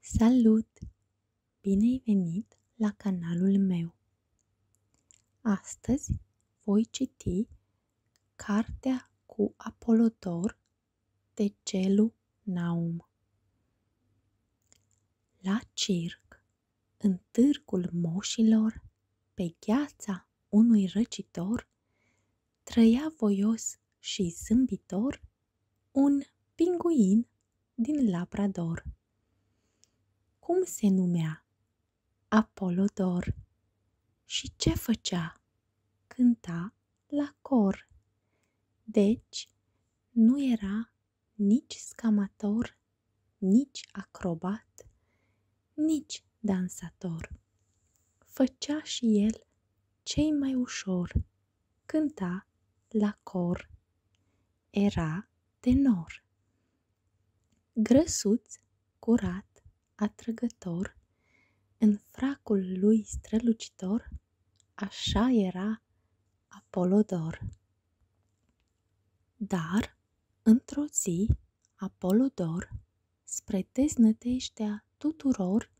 Salut! Bine ai venit la canalul meu! Astăzi voi citi Cartea cu Apolodor de Celu Naum. La circ, în târgul moșilor, pe gheața unui răcitor, Trăia voios și zâmbitor un pinguin din Labrador. Cum se numea? Apolodor. Și ce făcea? Cânta la cor. Deci, nu era nici scamator, nici acrobat, nici dansator. Făcea și el cei mai ușor Cânta la cor, era tenor. Grăsuț, curat, atrăgător, în fracul lui strălucitor, așa era Apolodor. Dar, într-o zi, Apolodor, spre deznădejdea tuturor,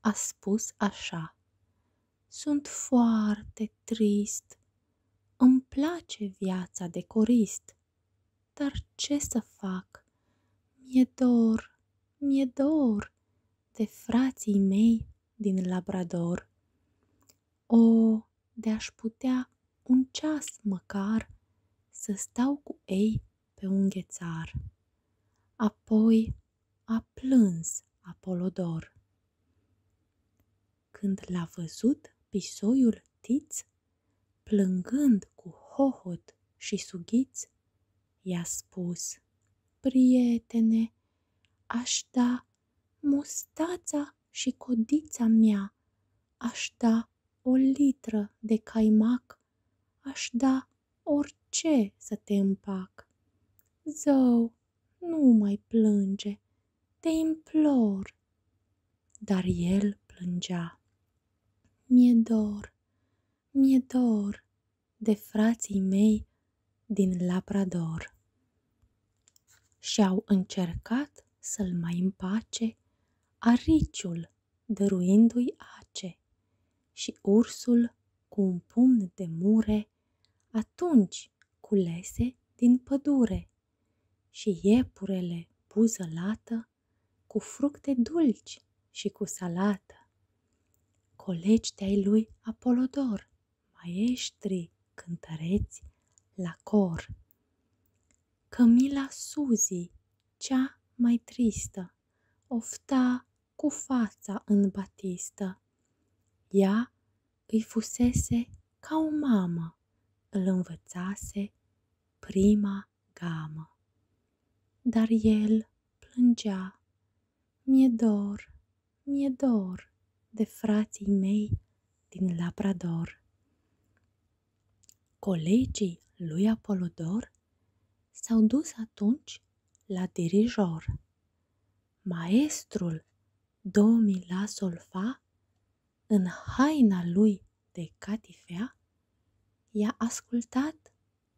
a spus așa. Sunt foarte trist, îmi place viața de corist, dar ce să fac? Mi-e dor, mi-e dor de frații mei din Labrador. O, de-aș putea un ceas măcar să stau cu ei pe un ghețar. Apoi, a plâns Apolodor. Când l-a văzut pisoiul Tiț, plângând cu hohot și sughiț, i-a spus, Prietene, aș da mustața și codița mea, aș da o litră de caimac, aș da orice să te împac. Zău, nu mai plânge, te implor. Dar el plângea. Mie e dor, mi dor de frații mei din Labrador. Și-au încercat să-l mai împace ariciul dăruindu-i ace și ursul cu un pumn de mure atunci culese din pădure și iepurele buză lată cu fructe dulci și cu salată. Colegi de-ai lui Apolodor, maestri cântăreți la cor. Cămila Suzi, cea mai tristă, ofta cu fața în batistă. Ea îi fusese ca o mamă, îl învățase prima gamă. Dar el plângea, mi-e dor, mi-e dor de frații mei din Labrador. Colegii lui Apolodor s-au dus atunci la dirijor. Maestrul Domi la sol în haina lui de catifea, i-a ascultat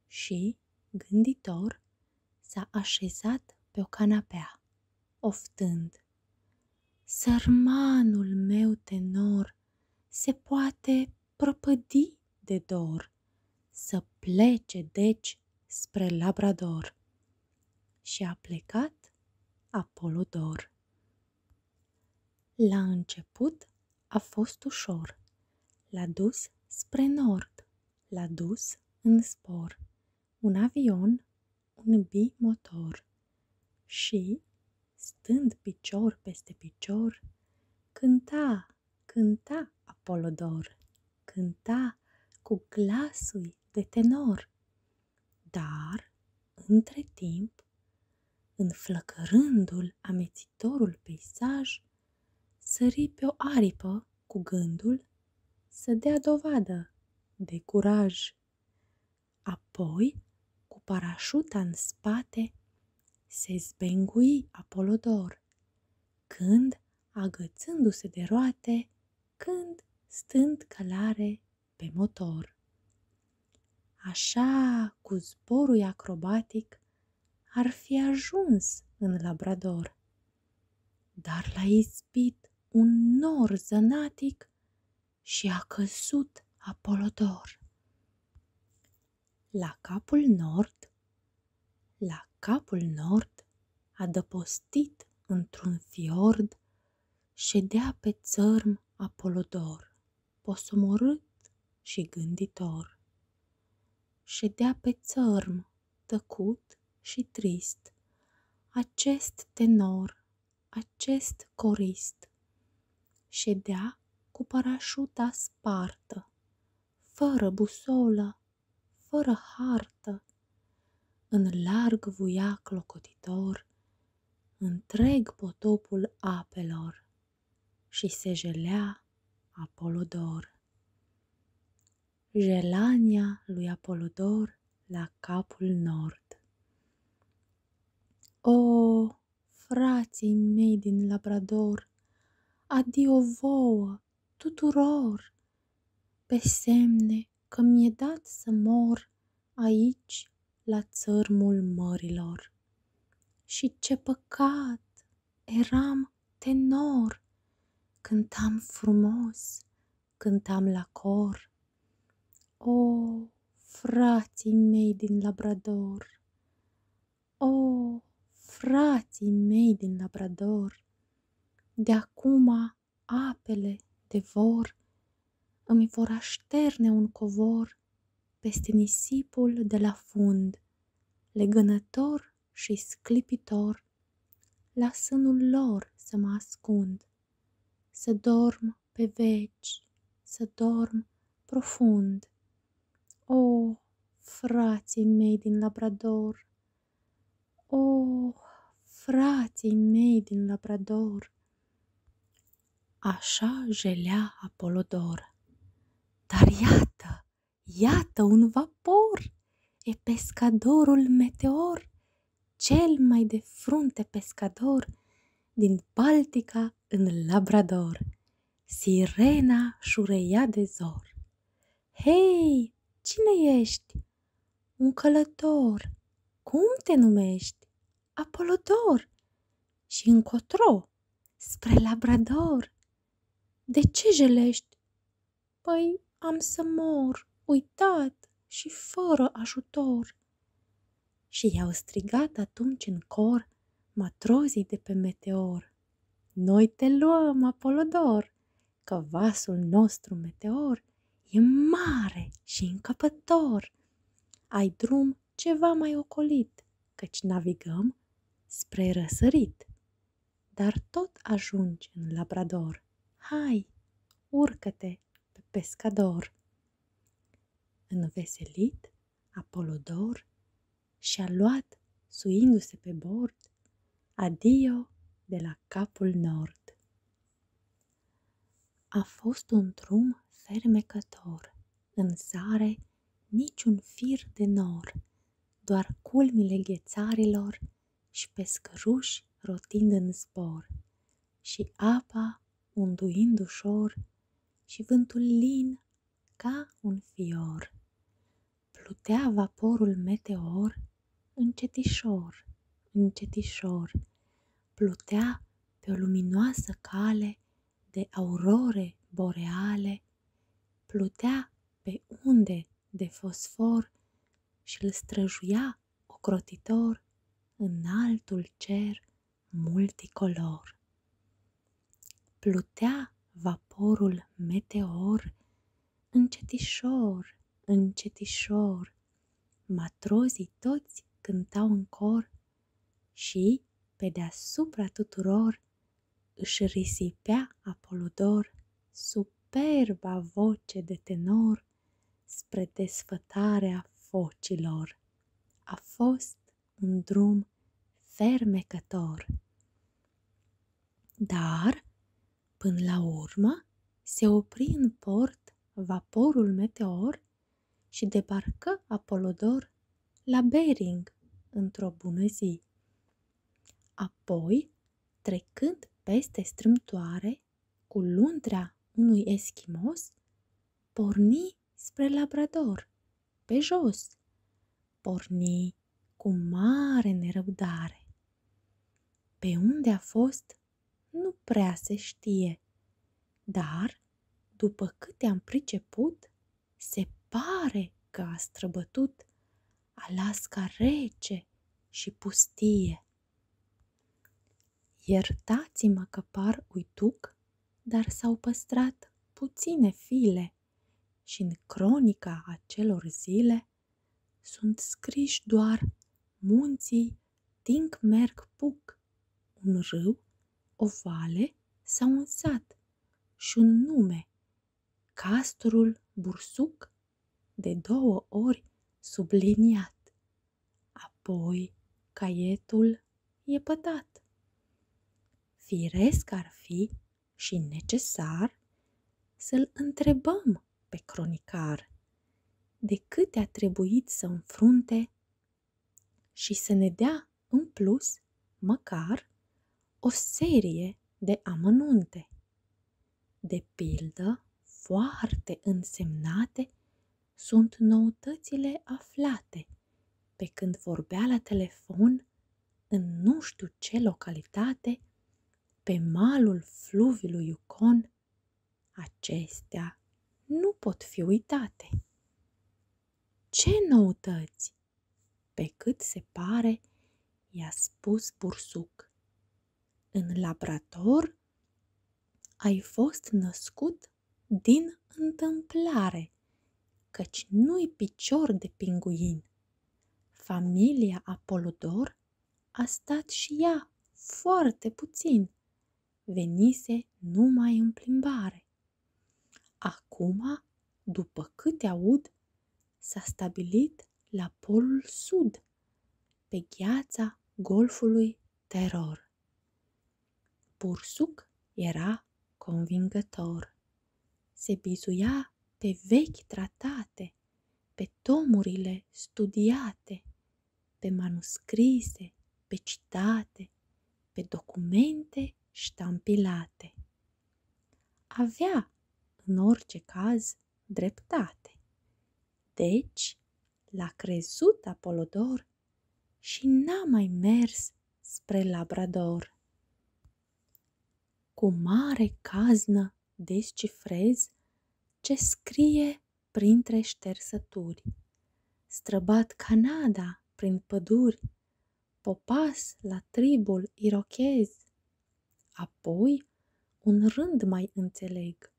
și, gânditor, s-a așezat pe o canapea, oftând. Sărmanul meu tenor se poate propădi de dor să plece, deci, spre Labrador. Și a plecat Apolodor. La început a fost ușor, l-a dus spre nord, l-a dus în spor, un avion, un bimotor. Și, stând picior peste picior, cânta cânta Apolodor, cânta cu glasul de tenor, dar, între timp, înflăcărându-l amețitorul peisaj, sări pe o aripă cu gândul să dea dovadă de curaj. Apoi, cu parașuta în spate, se zbengui Apolodor, când agățându-se de roate, când stând călare pe motor. Așa, cu zborul acrobatic, ar fi ajuns în Labrador. Dar l-a izbit un nor zănatic și a căzut Apolodor. La capul nord, la capul nord, adăpostit într-un fiord, dea pe țărm Apolodor, posomorât și gânditor. dea pe țărm, tăcut și trist, acest tenor, acest corist. dea cu parașuta spartă, fără busolă, fără hartă, în larg vuia clocotitor întreg potopul apelor și se jelea Apolodor. Jelania lui Apolodor la capul nord. O, frații mei din Labrador, adio vouă, tuturor! pe semne că mi-e dat să mor aici la țărmul mărilor. Și ce păcat! Eram tenor, cântam frumos, cântam la cor. O, frații mei din Labrador! O, frații mei din Labrador! De acum apele de vor îmi vor așterne un covor peste nisipul de la fund, legănător și sclipitor, la sânul lor să mă ascund, să dorm pe veci, să dorm profund. O, frații mei din Labrador, Oh, frații mei din Labrador! Așa jelea Apolodor. Dar iată, iată un vapor! E pescadorul meteor, cel mai de frunte pescador din Baltica în Labrador. Sirena șureia de zor. Hei, cine ești? Un călător. Cum te numești? Apolodor. Și încotro, spre Labrador. De ce jelești? Păi am să mor, uitat și fără ajutor. Și i-au strigat atunci în cor matrozii de pe meteor. Noi te luăm, Apolodor, că vasul nostru meteor e mare și încăpător. Ai drum ceva mai ocolit, căci navigăm spre răsărit. Dar tot ajungi în Labrador. Hai, urcă-te pe pescador. Înveselit, Apolodor și-a luat, suindu-se pe bord, adio de la capul nord. A fost un drum fermecător, în zare niciun fir de nor, doar culmile ghețarilor și pescăruși rotind în zbor, și apa unduind ușor și vântul lin ca un fior plutea vaporul meteor încetișor, încetișor, plutea pe o luminoasă cale de aurore boreale, plutea pe unde de fosfor și îl străjuia ocrotitor în altul cer multicolor. Plutea vaporul meteor încetișor, încetișor. Matrozii toți cântau în cor și, pe deasupra tuturor, își risipea Apolodor superba voce de tenor spre desfătarea focilor. A fost un drum fermecător. Dar, până la urmă, se opri în port vaporul Meteor și debarcă Apolodor la Bering într-o bună zi. Apoi, trecând peste strâmtoare cu luntrea unui eschimos, porni spre Labrador, pe jos. Porni cu mare nerăbdare pe unde a fost, nu prea se știe, dar, după câte am priceput, se pare că a străbătut Alaska rece și pustie. Iertați-mă că par uituc, dar s-au păstrat puține file și în cronica acelor zile sunt scriși doar munții Tinc Merg Puc, un râu, o vale sau un sat și un nume, Castorul Bursuc, de două ori subliniat. Apoi caietul e pătat. Firesc ar fi și necesar să-l întrebăm pe cronicar de câte a trebuit să înfrunte și să ne dea în plus măcar o serie de amănunte, de pildă foarte însemnate sunt noutățile aflate pe când vorbea la telefon în nu știu ce localitate pe malul fluviului Yukon, acestea nu pot fi uitate. Ce noutăți? Pe cât se pare, i-a spus bursuc. În laborator ai fost născut din întâmplare, căci nu-i picior de pinguin. Familia Apolodor a stat și ea foarte puțin, venise numai în plimbare. Acum, după câte aud, s-a stabilit la polul sud, pe gheața golfului Teror. Bursuc era convingător. Se bizuia pe vechi tratate, pe tomurile studiate, pe manuscrise, pe citate, pe documente ștampilate. Avea, în orice caz, dreptate. Deci, l-a crezut Apolodor și n-a mai mers spre Labrador. Cu mare caznă descifrez ce scrie printre ștersături. Străbat Canada prin păduri, popas la tribul irochez. Apoi un rând mai înțeleg,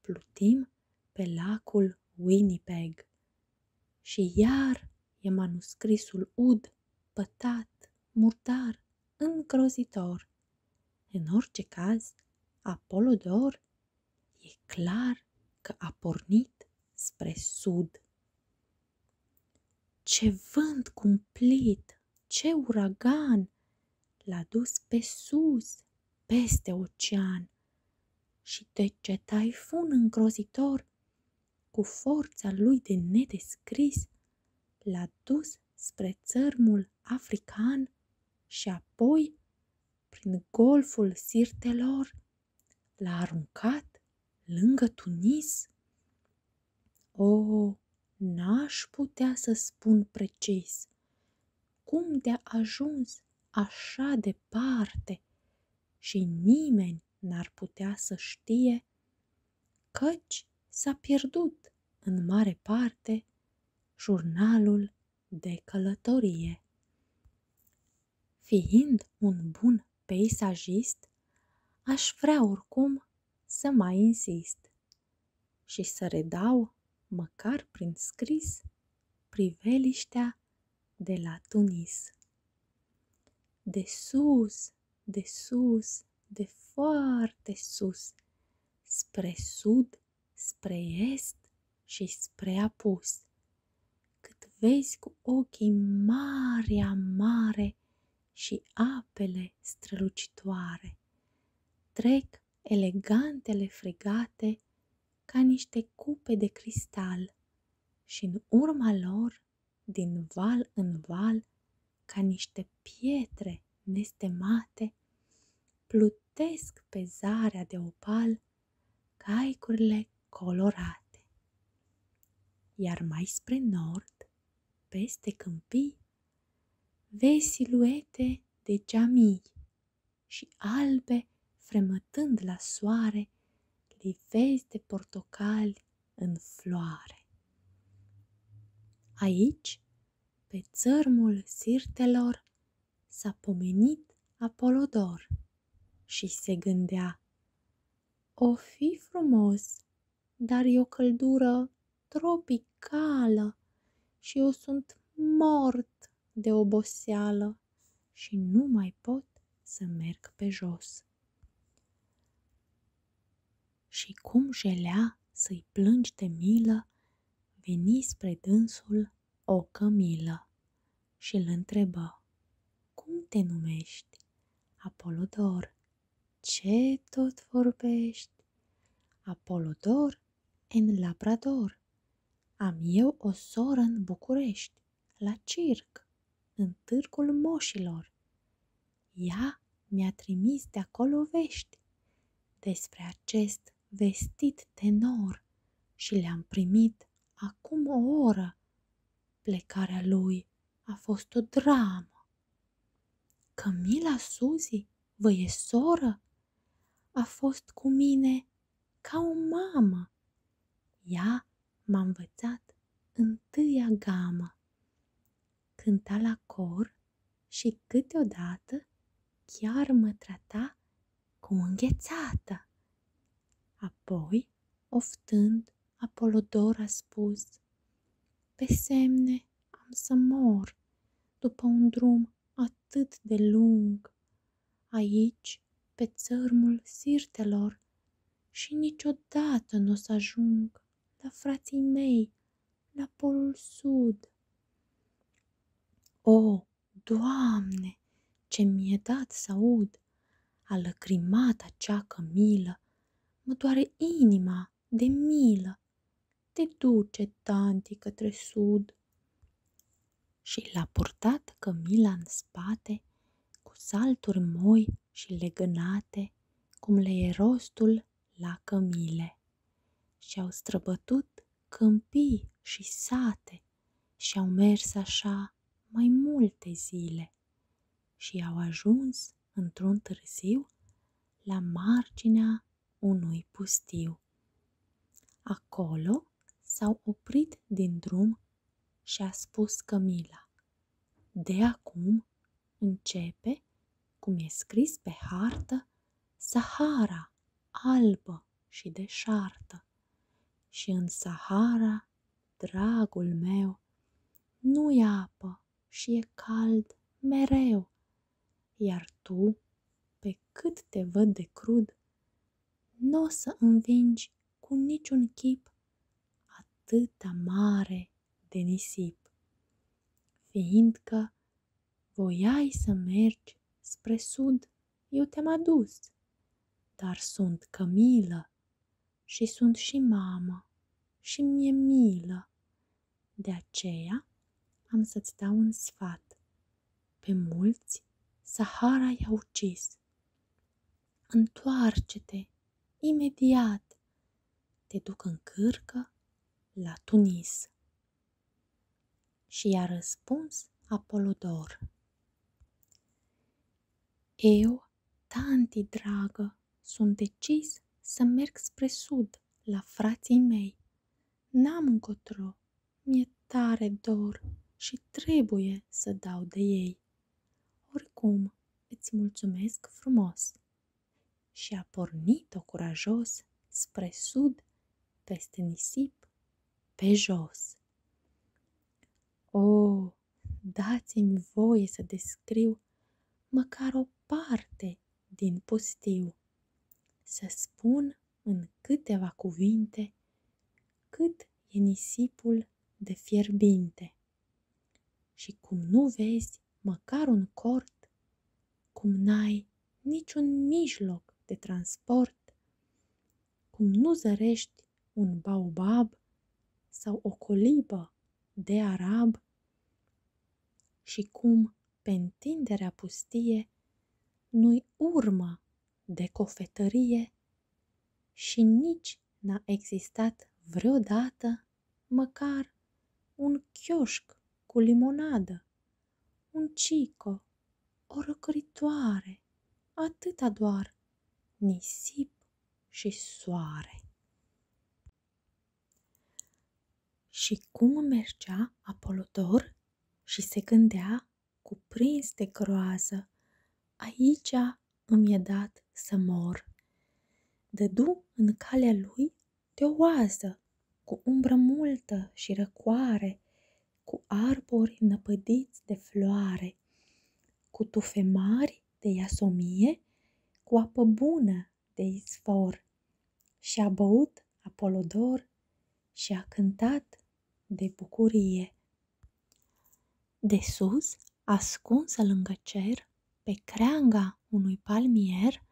plutim pe lacul Winnipeg. Și iar e manuscrisul ud, pătat, murdar, îngrozitor. În orice caz, Apolodor e clar că a pornit spre sud. Ce vânt cumplit, ce uragan l-a dus pe sus, peste ocean. Și de ce taifun îngrozitor, cu forța lui de nedescris, l-a dus spre țărmul african și apoi prin golful sirtelor l-a aruncat lângă Tunis. O, n-aș putea să spun precis cum de-a ajuns așa departe și nimeni n-ar putea să știe, căci s-a pierdut în mare parte jurnalul de călătorie. Fiind un bun peisagist, aș vrea oricum să mai insist și să redau, măcar prin scris, priveliștea de la Tunis. De sus, de sus, de foarte sus, spre sud, spre est și spre apus, cât vezi cu ochii marea mare și apele strălucitoare. Trec elegantele fregate ca niște cupe de cristal și în urma lor, din val în val, ca niște pietre nestemate, plut scutesc pe zarea de opal caicurile colorate. Iar mai spre nord, peste câmpii, vezi siluete de geamii și albe fremătând la soare livezi de portocali în floare. Aici pe țărmul sirtelor s-a pomenit Apolodor și se gândea, O fi frumos, dar e o căldură tropicală și eu sunt mort de oboseală și nu mai pot să merg pe jos. Și cum jelea să-i plângi de milă veni spre dânsul o cămilă și îl întrebă, Cum te numești? Apolodor, ce tot vorbești? Apolodor în Labrador. Am eu o soră în București, la circ, în târgul moșilor. Ea mi-a trimis de acolo vești despre acest vestit tenor și le-am primit acum o oră. Plecarea lui a fost o dramă. Cămila Suzi, vă e soră, a fost cu mine ca o mamă. Ea m-a învățat întâia gamă. Cânta la cor și câteodată chiar mă trata cu înghețată. Apoi, oftând, Apolodor a spus, Pe semne am să mor după un drum atât de lung. Aici, pe țărmul sirtelor, și niciodată nu o să ajung la frații mei la polul sud. O, Doamne, ce mi-e dat să aud! A lăcrimat acea cămilă, mă doare inima de milă. Te duce, tanti, către sud. Și l-a purtat cămila în spate, cu salturi moi și legănate, cum le e rostul la cămile. Și-au străbătut câmpii și sate și-au mers așa mai multe zile și au ajuns într-un târziu la marginea unui pustiu. Acolo s-au oprit din drum și a spus Camila. De acum începe, cum e scris pe hartă, Sahara. Sahara, albă și deșartă, și în Sahara, dragul meu, nu e apă și e cald mereu, iar tu, pe cât te văd de crud, nu o să învingi cu niciun chip atâta mare de nisip, fiindcă Voiai să mergi spre sud, eu te-am adus, dar sunt Cămilă și sunt și mama și mi-e milă. De aceea am să-ți dau un sfat. Pe mulți Sahara i-a ucis. Întoarce-te imediat. Te duc în cârcă la Tunis. Și i-a răspuns Apolodor. Eu, tanti dragă, sunt decis să merg spre sud, la frații mei. N-am încotro, mi-e tare dor și trebuie să dau de ei. Oricum, îți mulțumesc frumos. Și a pornit-o curajos spre sud, peste nisip, pe jos. O, oh, dați-mi voie să descriu măcar o parte din pustiu, să spun în câteva cuvinte cât e nisipul de fierbinte. Și cum nu vezi măcar un cort, cum n-ai niciun mijloc de transport, cum nu zărești un baobab sau o colibă de arab și cum pe întinderea pustie nu-i urmă de cofetărie și nici n-a existat vreodată măcar un chioșc cu limonadă un cico, o răcoritoare, atâta doar, nisip și soare. Și cum mergea Apolodor și se gândea, cuprins de groază, aici îmi e dat să mor. Dădu în calea lui de o oază, cu umbră multă și răcoare, cu arbori năpădiți de floare, cu tufe mari de iasomie, cu apă bună de izvor. Și a băut Apolodor și a cântat de bucurie. De sus, ascunsă lângă cer, pe creanga unui palmier,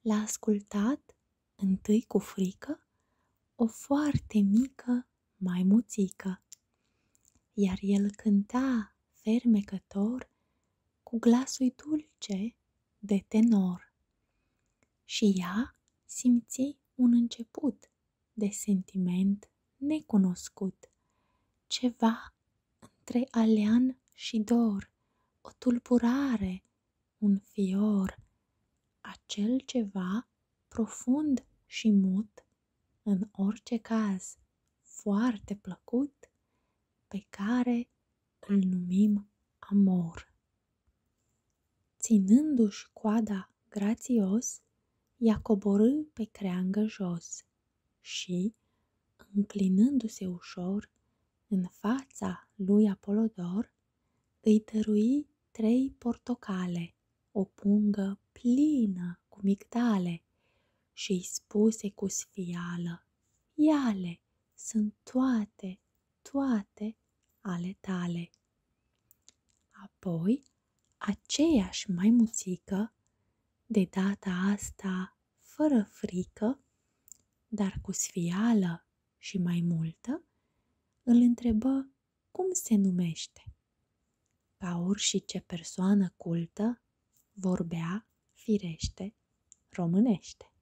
l-a ascultat întâi cu frică, o foarte mică maimuțică, iar el cânta fermecător cu glasul dulce de tenor. Și ea simți un început de sentiment necunoscut, ceva între alean și dor, o tulburare un fior, acel ceva profund și mut, în orice caz foarte plăcut, pe care îl numim amor. Ținându-și coada grațios, i-a coborât pe creangă jos și, înclinându-se ușor în fața lui Apolodor, îi dărui trei portocale, o pungă plină cu migdale și îi spuse cu sfială, Iale, sunt toate, toate ale tale. Apoi, aceeași mai maimuțică, de data asta fără frică, dar cu sfială și mai multă, îl întrebă cum se numește. Ca orice persoană cultă, vorbea, firește, românește.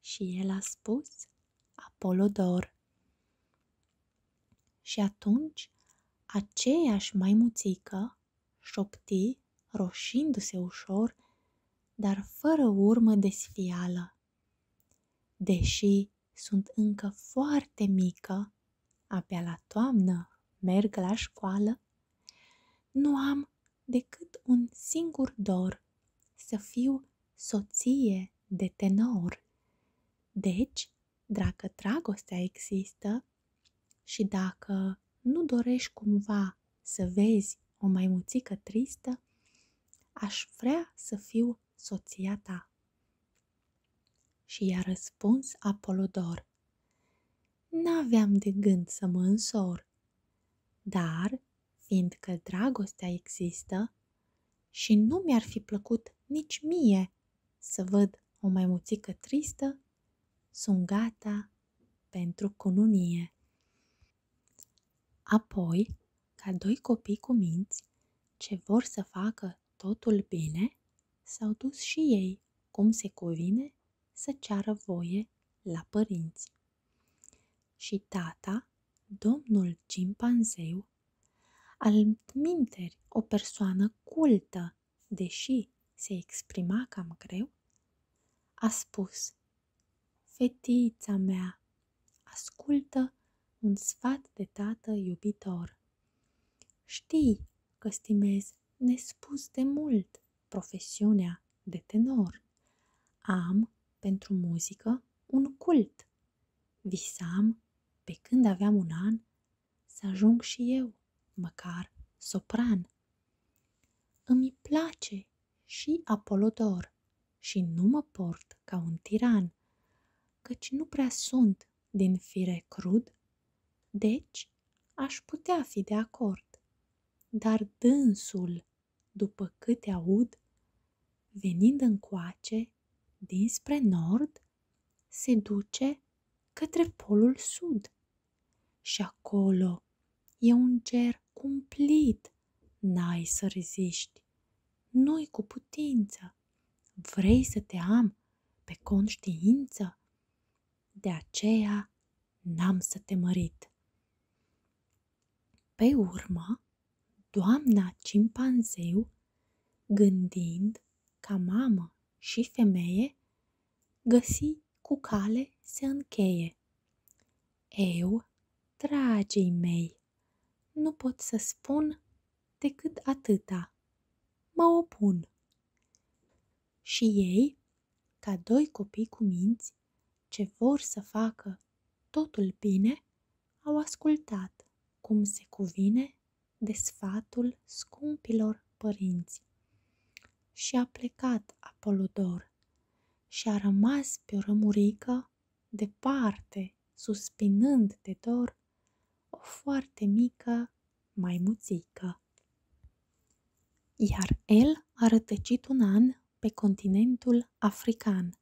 Și el a spus Apolodor. Și atunci, aceeași maimuțică șopti, roșindu-se ușor, dar fără urmă de sfială. Deși sunt încă foarte mică, abia la toamnă merg la școală, nu am decât un singur dor, să fiu soție de tenor. Deci, dacă dragostea există și dacă nu dorești cumva să vezi o maimuțică tristă, aș vrea să fiu eu soția ta? Și i-a răspuns Apolodor, N-aveam de gând să mă însor, dar, fiindcă dragostea există, și nu mi-ar fi plăcut nici mie să văd o mai maimuțică tristă, sunt gata pentru cununie. Apoi, ca doi copii cu minți, ce vor să facă totul bine, s-au dus și ei, cum se cuvine, să ceară voie la părinți. Și tata, domnul cimpanzeu, al minteri o persoană cultă, deși se exprima cam greu, a spus, Fetița mea, Ascultă un sfat de tată iubitor. Știi că stimez nespus de mult profesiunea de tenor. Am pentru muzică un cult. Visam, pe când aveam un an, să ajung și eu, măcar sopran. Îmi place și Apolodor și nu mă port ca un tiran căci nu prea sunt din fire crud, deci aș putea fi de acord. Dar dânsul, după câte aud, venind încoace, dinspre nord, se duce către polul sud. Și acolo e un ger cumplit N-ai să reziști, nu cu putință, vrei să te am pe conștiință? De aceea n-am să te mărit. Pe urmă, doamna cimpanzeu, gândind ca mamă și femeie, găsi cu cale se încheie. Eu, dragii mei, nu pot să spun decât atâta. Mă opun. Și ei, ca doi copii cu minți, ce vor să facă totul bine, au ascultat, cum se cuvine, de sfatul scumpilor părinți. Și a plecat Apolodor și a rămas pe o rămurică departe suspinând de dor, o foarte mică maimuțică. Iar el a rătăcit un an pe continentul african.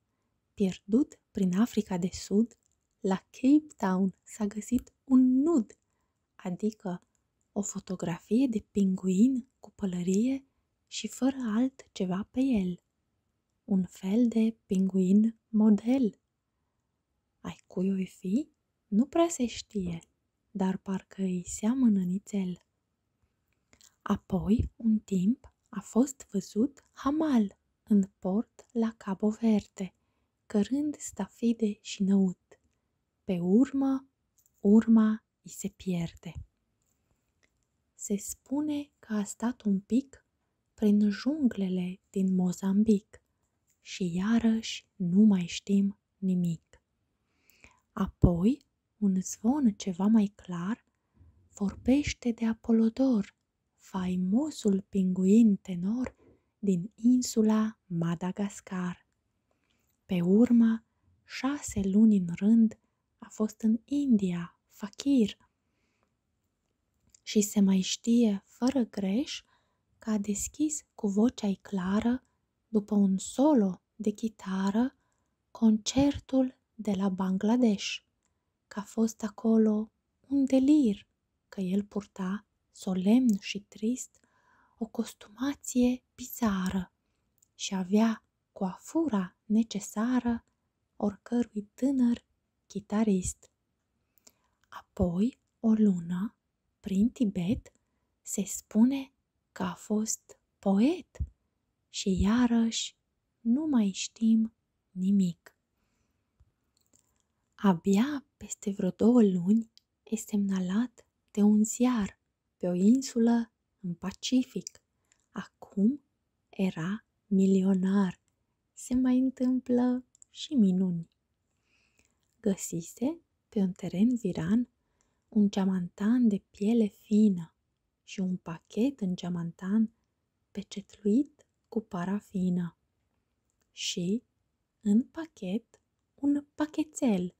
Pierdut prin Africa de Sud, la Cape Town s-a găsit un nud, adică o fotografie de pinguin cu pălărie și fără altceva pe el un fel de pinguin model. Ai cui oi fi? Nu prea se știe, dar parcă îi seamănă nițel. Apoi, un timp, a fost văzut hamal în port la Cabo Verde, cărând stafide și năut. Pe urmă, urma îi se pierde. Se spune că a stat un pic prin junglele din Mozambic și iarăși nu mai știm nimic. Apoi, un zvon ceva mai clar vorbește de Apolodor, faimosul pinguin tenor din insula Madagascar. Pe urmă, șase luni în rând a fost în India, fakir, și se mai știe fără greș că a deschis cu vocea ei clară, după un solo de chitară, concertul de la Bangladesh, că a fost acolo un delir, că el purta, solemn și trist, o costumație bizară și avea coafura necesară oricărui tânăr chitarist. Apoi, o lună, prin Tibet, se spune că a fost poet și iarăși nu mai știm nimic. Abia peste vreo două luni e semnalat de un ziar pe o insulă în Pacific. Acum era milionar se mai întâmplă și minuni. Găsise pe un teren viran un geamantan de piele fină și un pachet în geamantan pecetluit cu parafină și, în pachet, un pachetel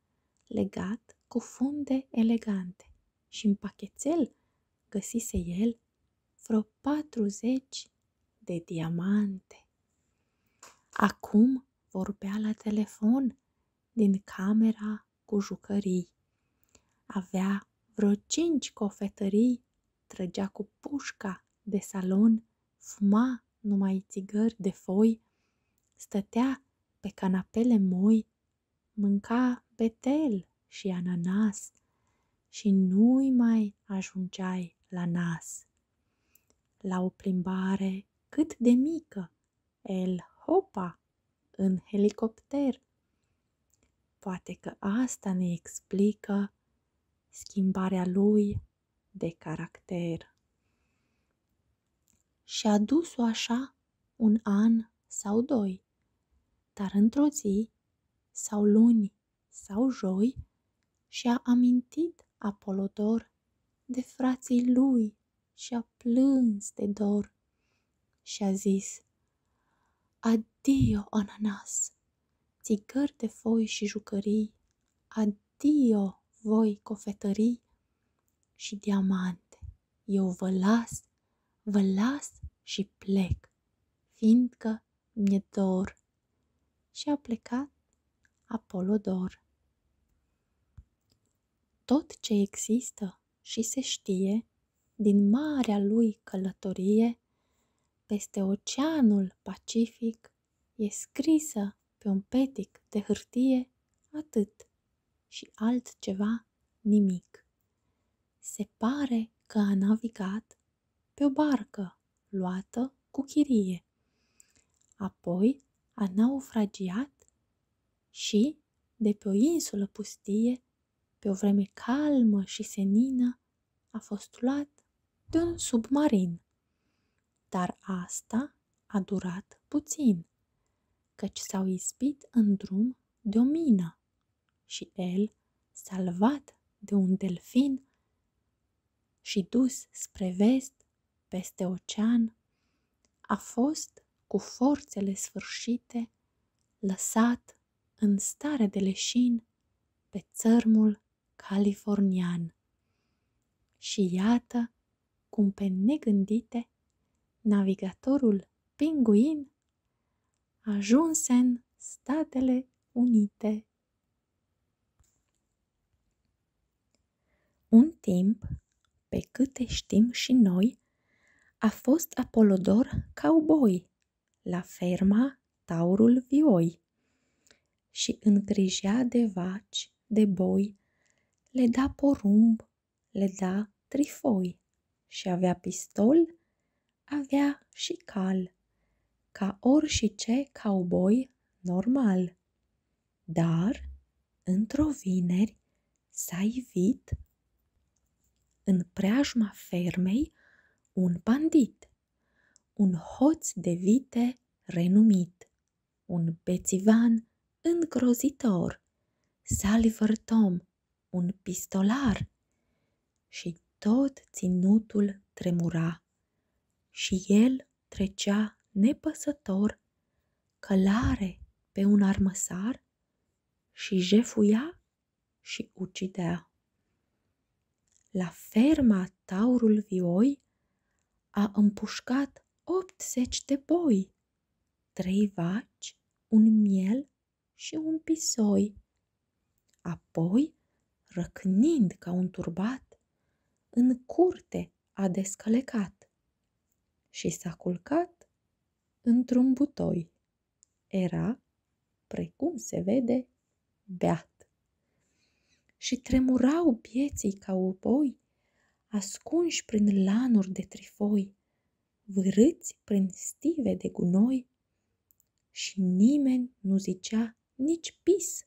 legat cu funde elegante și în pachetel găsise el vreo 40 de diamante. Acum vorbea la telefon din camera cu jucării. Avea vreo cinci cofetării, trăgea cu pușca de salon, fuma numai țigări de foi, stătea pe canapele moi, mânca betel și ananas și nu-i mai ajungeai la nas. La o plimbare cât de mică, el hopa în helicopter. Poate că asta ne explică schimbarea lui de caracter. Și-a dus-o așa un an sau doi, dar într-o zi sau luni vineri sau joi și a amintit Apolodor de frații lui și a plâns de dor și a zis Adio, ananas, țigări de foi și jucării, adio, voi cofetării și diamante, eu vă las, vă las și plec, fiindcă mi-e dor. Și a plecat Apolodor. Tot ce există și se știe din marea lui călătorie peste oceanul Pacific e scrisă pe un petic de hârtie atât și altceva nimic. Se pare că a navigat pe o barcă luată cu chirie. Apoi a naufragiat și, de pe o insulă pustie, pe o vreme calmă și senină, a fost luat de un submarin. Dar asta a durat puțin, căci s-au ispit în drum de o mină și el, salvat de un delfin și dus spre vest, peste ocean, a fost cu forțele sfârșite lăsat în stare de leșin pe țărmul californian. Și iată cum pe negândite navigatorul pinguin ajunse în Statele Unite. Un timp, pe câte știm și noi, a fost Apolodor cowboy la ferma Taurul Vioi și îngrijea de vaci, de boi, le da porumb, le da trifoi și avea pistol avea și cal, ca orice cowboy normal. Dar, într-o vineri, s-a ivit în preajma fermei un bandit, un hoț de vite renumit, un bețivan îngrozitor, Salivăr un pistolar, și tot ținutul tremura și el trecea nepăsător călare pe un armăsar și jefuia și ucidea. La ferma taurul vioi a împușcat 80 de boi, trei vaci, un miel și un pisoi Apoi, răcnind ca un turbat, în curte a descălecat și s-a culcat într-un butoi. Era, precum se vede, beat. Și tremurau pieții ca oboi, ascunși prin lanuri de trifoi, vârâți prin stive de gunoi, și nimeni nu zicea nici pis.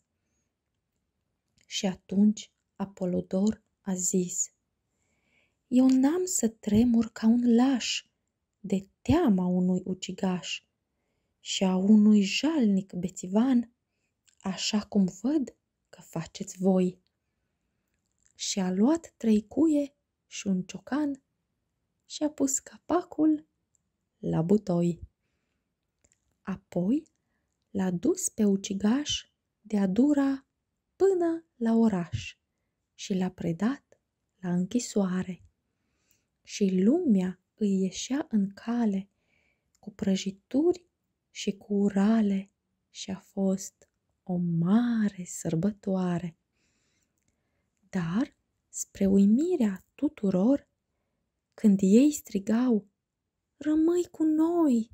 Și atunci Apolodor a zis, Eu n-am să tremur ca un laș de teama unui ucigaș și a unui jalnic bețivan, așa cum văd că faceți voi. Și a luat trei cuie și un ciocan și a pus capacul la butoi. Apoi l-a dus pe ucigaș de-a dura până la oraș și l-a predat la închisoare. Și lumea îi ieșea în cale cu prăjituri și cu urale și a fost o mare sărbătoare. Dar, spre uimirea tuturor, când ei strigau, Rămâi cu noi,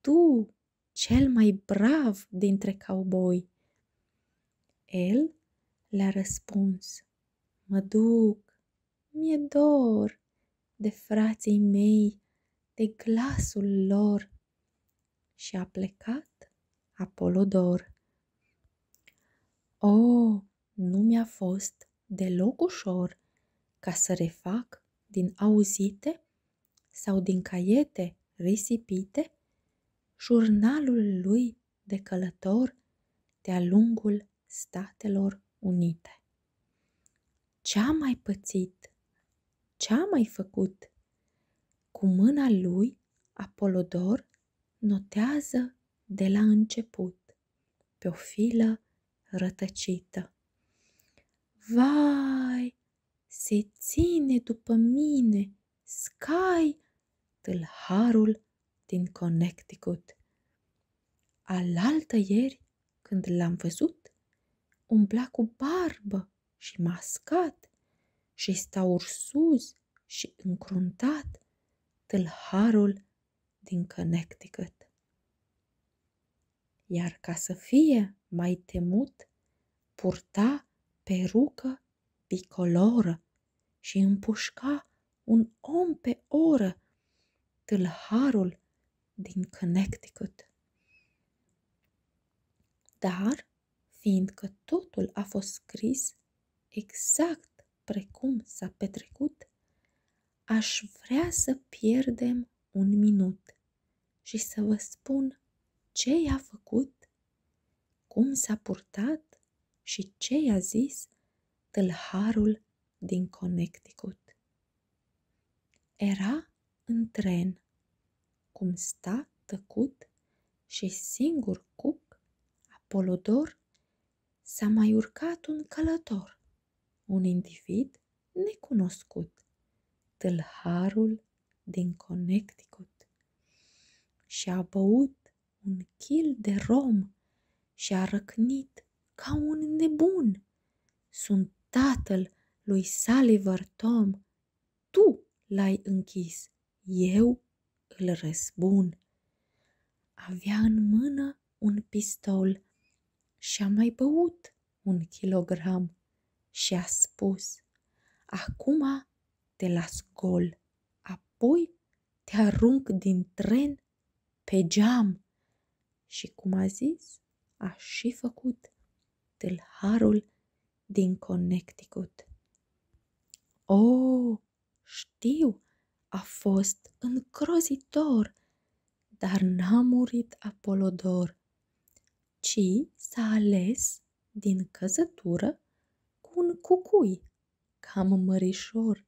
tu, cel mai brav dintre cowboy. El le-a răspuns, Mă duc, mi-e dor de frații mei, de glasul lor. Și a plecat Apolodor. O, oh, nu mi-a fost deloc ușor ca să refac din auzite sau din caiete risipite jurnalul lui de călător de-a lungul Statelor Unite. Ce-a mai pățit, ce-a mai făcut, cu mâna lui Apolodor notează de la început pe o filă rătăcită. Vai, se ține după mine, Sky, tâlharul din Connecticut. Alaltă ieri, când l-am văzut, umbla cu barbă și mascat și sta ursuz și încruntat tâlharul din Connecticut. Iar ca să fie mai temut, purta perucă bicoloră și împușca un om pe oră, tâlharul din Connecticut. Dar, fiindcă totul a fost scris exact precum s-a petrecut, aș vrea să pierdem un minut și să vă spun ce i-a făcut, cum s-a purtat și ce i-a zis tâlharul din Connecticut. Era în tren, cum sta tăcut și singur cuc, Apolodor s-a mai urcat un călător, un individ necunoscut, tâlharul din Connecticut, și a băut un chil de rom și a răcnit ca un nebun. Sunt tatăl lui Saliver Tom, tu l-ai închis, eu îl răzbun. Avea în mână un pistol și a mai băut un kilogram și a spus, acum te las gol, apoi te arunc din tren pe geam. Și cum a zis, a și făcut tâlharul din Connecticut. Oh, știu, a fost încrozitor, dar n-a murit Apolodor, ci s-a ales din căzătură cu un cucui, cam mărișor,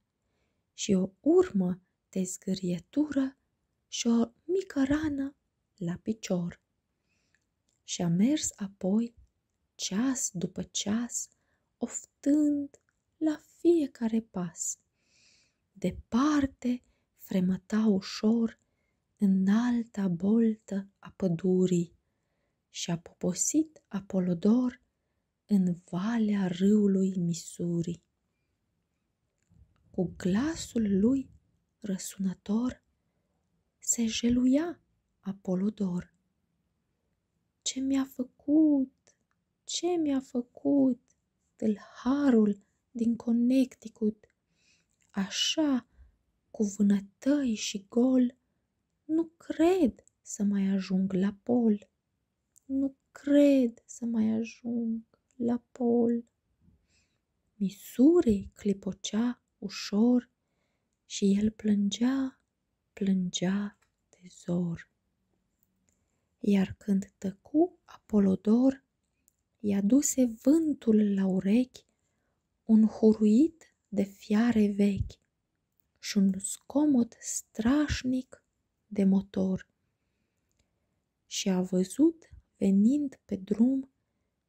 și o urmă de zgârietură și o mică rană la picior. Și a mers apoi, ceas după ceas, oftând la fiecare pas. Departe fremăta ușor alta boltă a pădurii și a poposit Apolodor în valea râului Misuri. Cu glasul lui răsunător se jeluia Apolodor. Ce mi-a făcut ce mi-a făcut tâlharul din Connecticut. Așa, cu vânătăi și gol, nu cred să mai ajung la pol. Nu cred să mai ajung la pol. Misuri clipocea ușor și el plângea, plângea de zor. Iar când tăcu Apolodor, i-a duse vântul la urechi un huruit de fiare vechi și un scomot strașnic de motor. Și a văzut venind pe drum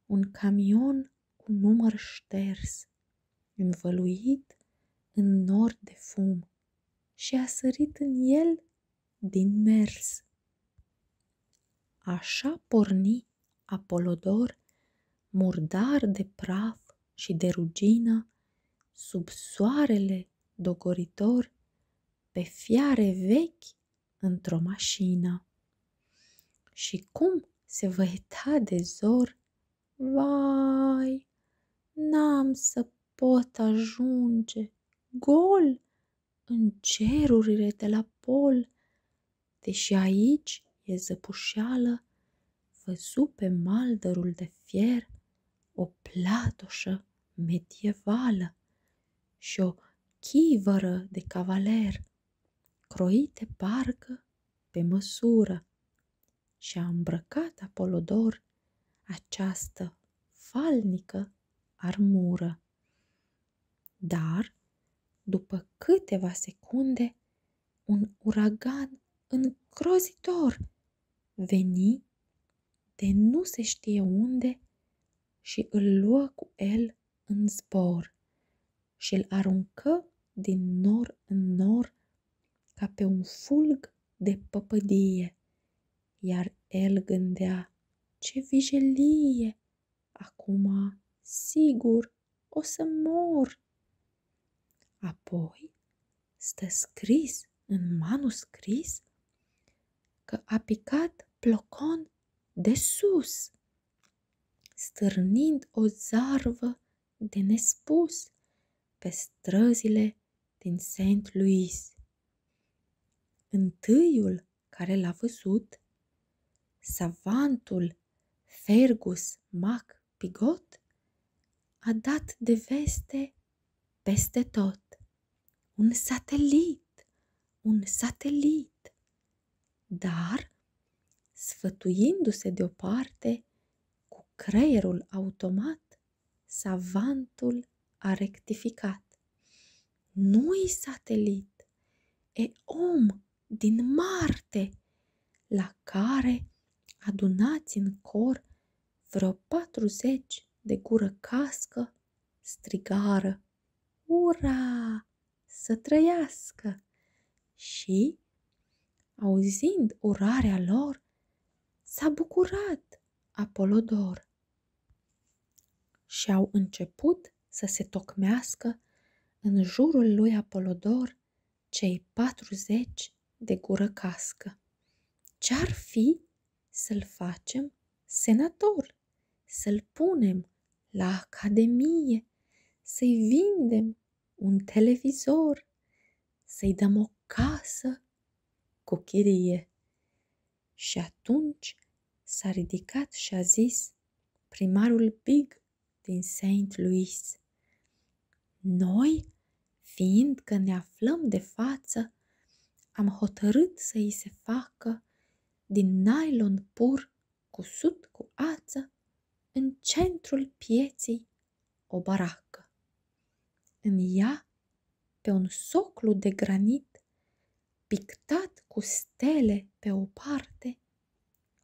un camion cu număr șters, învăluit în nor de fum și a sărit în el din mers. Așa porni Apolodor, murdar de praf și de rugină, sub soarele dogoritor, pe fiare vechi într-o mașină. Și cum se văita de zor, vai, n-am să pot ajunge gol în cerurile de la pol, deși aici e zăpușeală, văzu pe maldărul de fier o platoșă medievală și o chivără de cavaler, croite parcă pe măsură, și a îmbrăcat Apolodor această falnică armură. Dar, după câteva secunde, un uragan îngrozitor veni de nu se știe unde și îl luă cu el în zbor și îl aruncă din nor în nor ca pe un fulg de păpădie iar el gândea, ce vijelie! Acum, sigur, o să mor! Apoi stă scris în manuscris că a picat plocon de sus, stârnind o zarvă de nespus pe străzile mare din Saint Louis. Întâiul care l-a văzut, savantul Fergus Mac Pigot, a dat de veste peste tot. Un satelit, un satelit. Dar, sfătuindu-se deoparte cu creierul automat, Savantul a rectificat. Nu-i satelit, e om din Marte, la care adunați în cor vreo patruzeci de gură cască strigară. Ura! Să trăiască! Și, auzind urarea lor, s-a bucurat Apolodor și au început să se tocmească în jurul lui Apolodor cei patruzeci de gură cască. Ce-ar fi să-l facem senator, să-l punem la academie, să-i vindem un televizor, să-i dăm o casă cu chirie. Și atunci s-a ridicat și a zis primarul Big din Saint Louis. Noi, fiind că ne aflăm de față, am hotărât să îi se facă din nylon pur cusut cu ață în centrul pieții o baracă. În ea pe un soclu de granit, pictat cu stele pe o parte,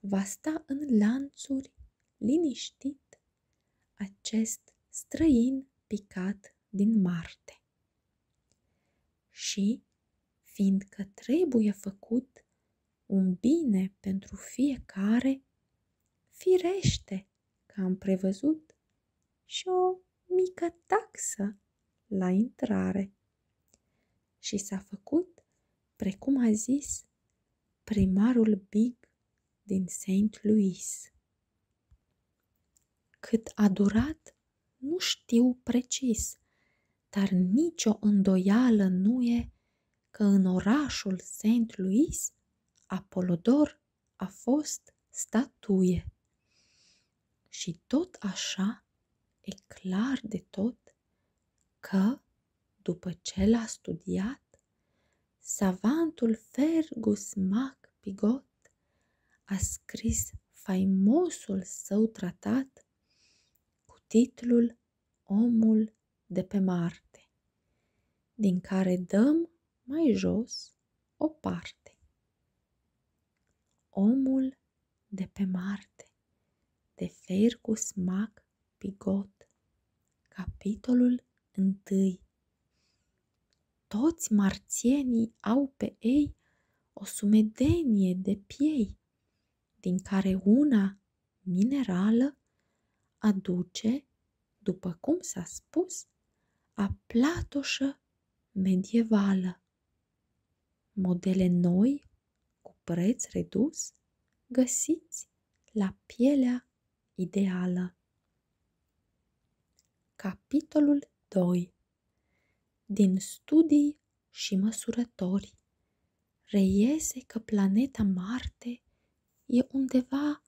va sta în lanțuri, liniștit, acest străin picat din Marte. Și, fiindcă trebuie făcut un bine pentru fiecare, firește că am prevăzut și o mică taxă la intrare. Și s-a făcut, precum a zis, primarul Big din St. Louis. Cât a durat, nu știu precis, dar nicio îndoială nu e că în orașul St. Louis Apolodor a fost statuie. Și tot așa e clar de tot că, după ce l-a studiat, savantul Fergus Mac Pigot a scris faimosul său tratat cu titlul Omul de pe Marte, din care dăm mai jos o parte. Omul de pe Marte de Fergus Mac Pigot Capitolul 1 Toți marțienii au pe ei o sumedenie de piei, din care una minerală aduce după cum s-a spus, a platoșă medievală. Modele noi, cu preț redus, găsiți la pielea ideală. Capitolul 2 Din studii și măsurători reiese că planeta Marte e undeva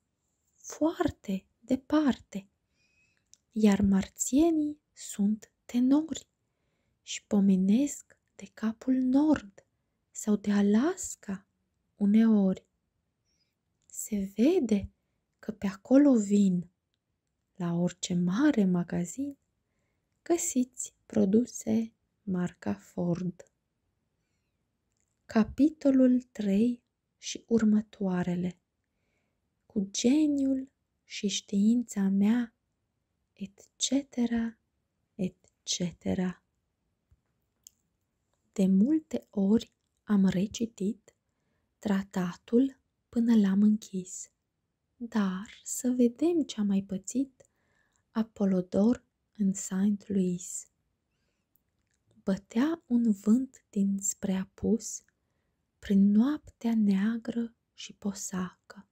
foarte departe, iar marțienii sunt tenori și pomenesc de capul nord sau de Alaska uneori. Se vede că pe acolo vin, la orice mare magazin, găsiți produse marca Ford. Capitolul 3 și următoarele. Cu geniul și știința mea, etc., etc. De multe ori am recitit tratatul până l-am închis, dar să vedem ce a mai pățit Apolodor în Saint Louis. Bătea un vânt dinspre apus prin noaptea neagră și posacă,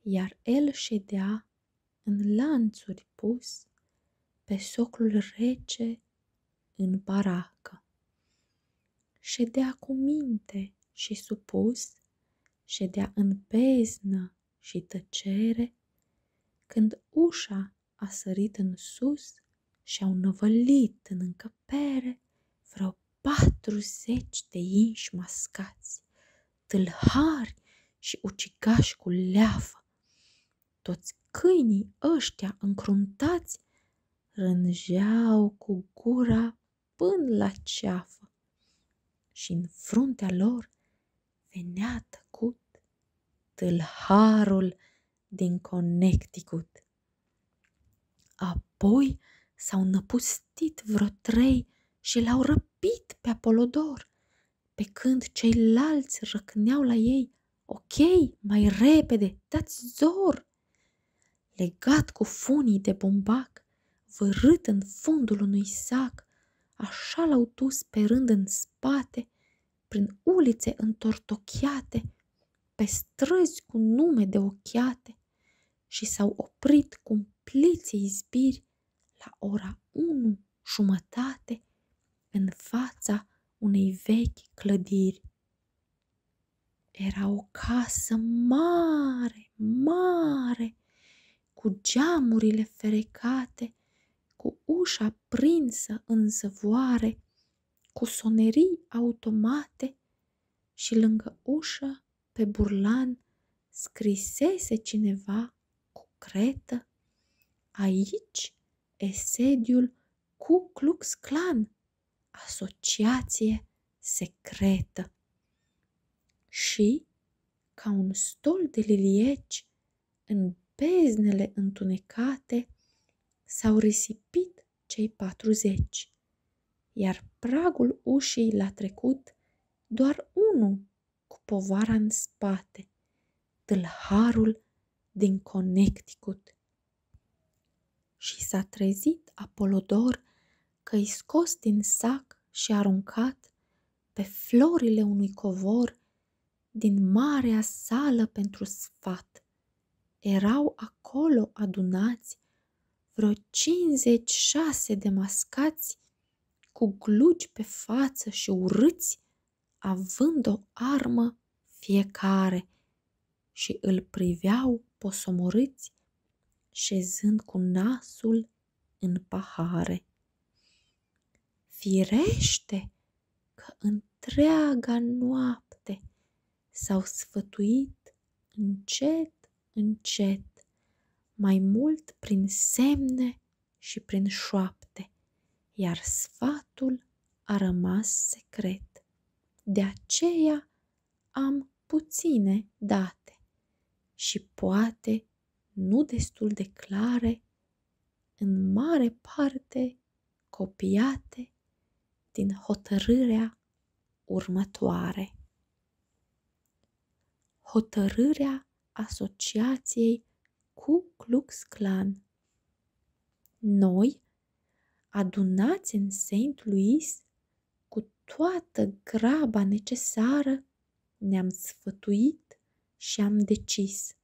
iar el ședea în lanțuri pus pe soclul rece în baracă. Ședea cu minte și supus, ședea în beznă și tăcere, când ușa a sărit în sus și au năvălit în încăpere încăpere vreo patruzeci de inși mascați, tâlhari și ucigași cu leafă. Toți câinii ăștia încruntați rânjeau cu gura până la ceafă și în fruntea lor venea tăcut tâlharul din Connecticut. Apoi s-au năpustit vreo trei și l-au răpit pe Apolodor, pe când ceilalți răcneau la ei, ok, mai repede, dați zor! Legat cu funii de bombac, vârât în fundul unui sac, așa l-au dus pe rând în spate, prin ulițe întortocheate, pe străzi cu nume de ochiate și s-au oprit cumpliți izbiri la ora unu jumătate în fața unei vechi clădiri. Era o casă mare, mare, cu geamurile ferecate, cu ușa prinsă în zăvoare cu sonerii automate și lângă ușă, pe burlan, scrisese cineva cu cretă Aici e sediul cu Klux Klan, asociație secretă. Și, ca un stol de lilieci, în beznele întunecate, s-au risipit cei patruzeci, iar pragul ușii l-a trecut doar unul cu povara în spate, tâlharul din Connecticut. Și s-a trezit Apolodor că-i scos din sac și aruncat pe florile unui covor din marea sală pentru sfat erau acolo adunați vreo 56 de mascați cu glugi pe față și urâți, având o armă fiecare și îl priveau posomorâți, șezând cu nasul în pahare. Firește că întreaga noapte s-au sfătuit încet, încet, mai mult prin semne și prin șoapte, iar sfatul a rămas secret. De aceea am puține date și poate nu destul de clare, în mare parte copiate din hotărârea următoare. Hotărârea asociației cu Klux Klan. Noi, adunați în St. Louis, cu toată graba necesară, ne-am sfătuit și am decis.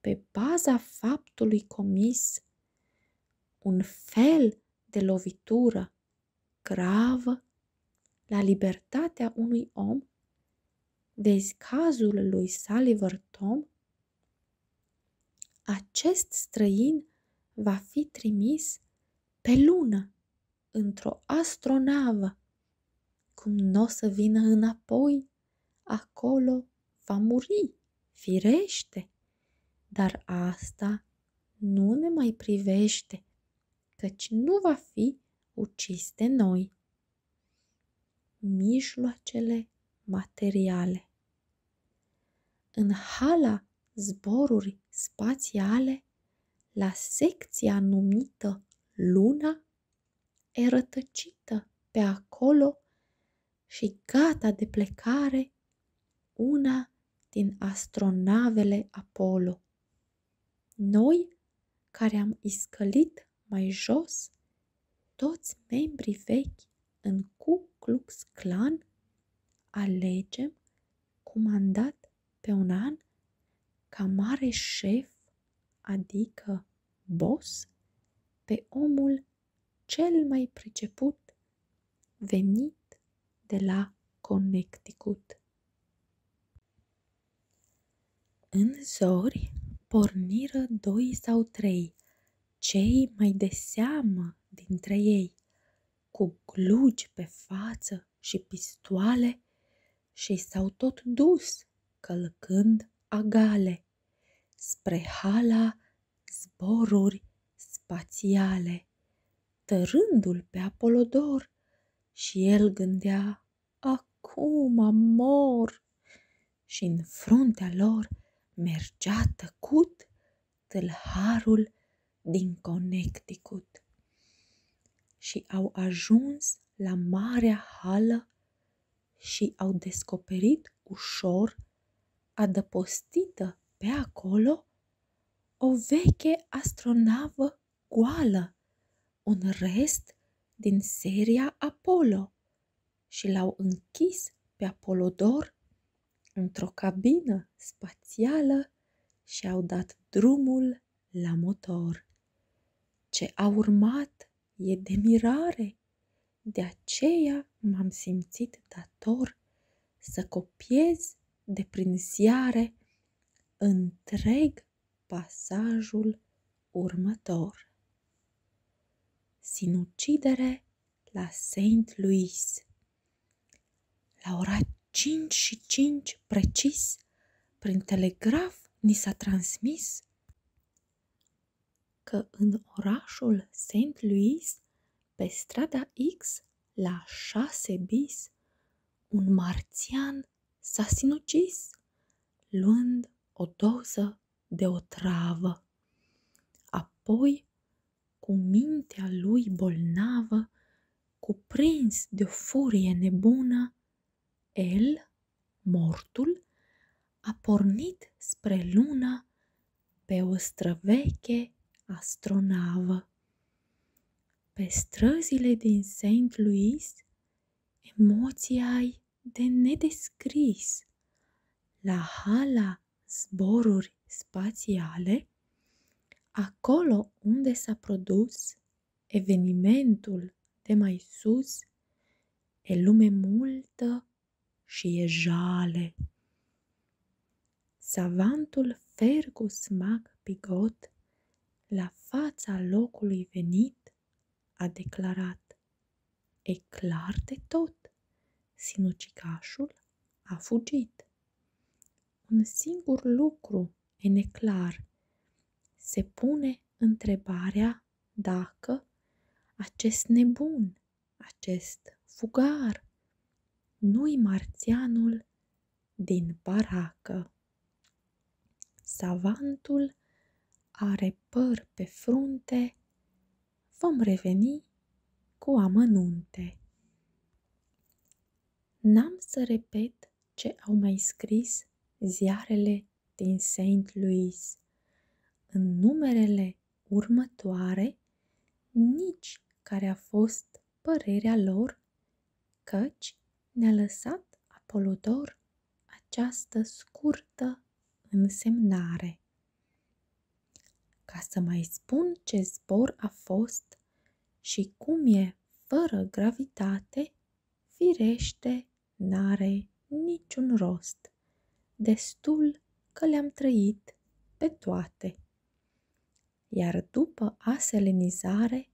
Pe baza faptului comis un fel de lovitură gravă la libertatea unui om, de cazul lui Saliver Tom, acest străin va fi trimis pe lună, într-o astronavă. Cum nu o să vină înapoi, acolo va muri firește, dar asta nu ne mai privește, căci nu va fi ucis de noi. Mijloacele materiale În hala zboruri spațiale, la secția numită Luna, e rătăcită pe acolo și gata de plecare una din astronavele Apollo. Noi, care am iscălit mai jos, toți membrii vechi în Ku Klux Klan, alegem, comandat pe un an, ca mare șef, adică boss, pe omul cel mai preceput venit de la Connecticut. În zori porniră doi sau trei, cei mai de seamă dintre ei, cu glugi pe față și pistoale, și s-au tot dus călcând agale spre hala zboruri spațiale, tărându-l pe Apolodor și el gândea, acum mor! și în fruntea lor mergea tăcut tâlharul din Connecticut. Și au ajuns la marea hală și au descoperit ușor adăpostită pe acolo o veche astronavă goală, un rest din seria Apollo și l-au închis pe Apolodor într-o cabină spațială și au dat drumul la motor. Ce a urmat e de mirare, de aceea m-am simțit dator să copiez de prin ziare întreg pasajul următor. Sinucidere la Saint Louis. La ora 5 și 5 precis, prin telegraf ni s-a transmis că în orașul Saint Louis pe strada X, la șase bis, un marțian s-a sinucis, luând o doză de o travă. Apoi, cu mintea lui bolnavă, cuprins de o furie nebună, el, mortul, a pornit spre Luna pe o străveche astronavă. Pe străzile din Saint Louis, emoții ai de nedescris. La hala zboruri spațiale, acolo unde s-a produs evenimentul de mai sus, e lume multă și e jale. Savantul Fergus Mac Pigot, la fața locului venit, a declarat E clar de tot, sinucicașul a fugit. Un singur lucru e neclar, se pune întrebarea dacă acest nebun acest fugar. Nu-i marțianul din baracă. Savantul are păr pe frunte, vom reveni cu amănunte. N-am să repet ce au mai scris ziarele din Saint Louis. În numerele zilele următoare nici care a fost părerea lor, căci ne-a lăsat Apolodor această scurtă însemnare. Ca să mai spun ce zbor a fost și cum e fără gravitate, firește n-are niciun rost, destul că le-am trăit pe toate. Iar după aselenizare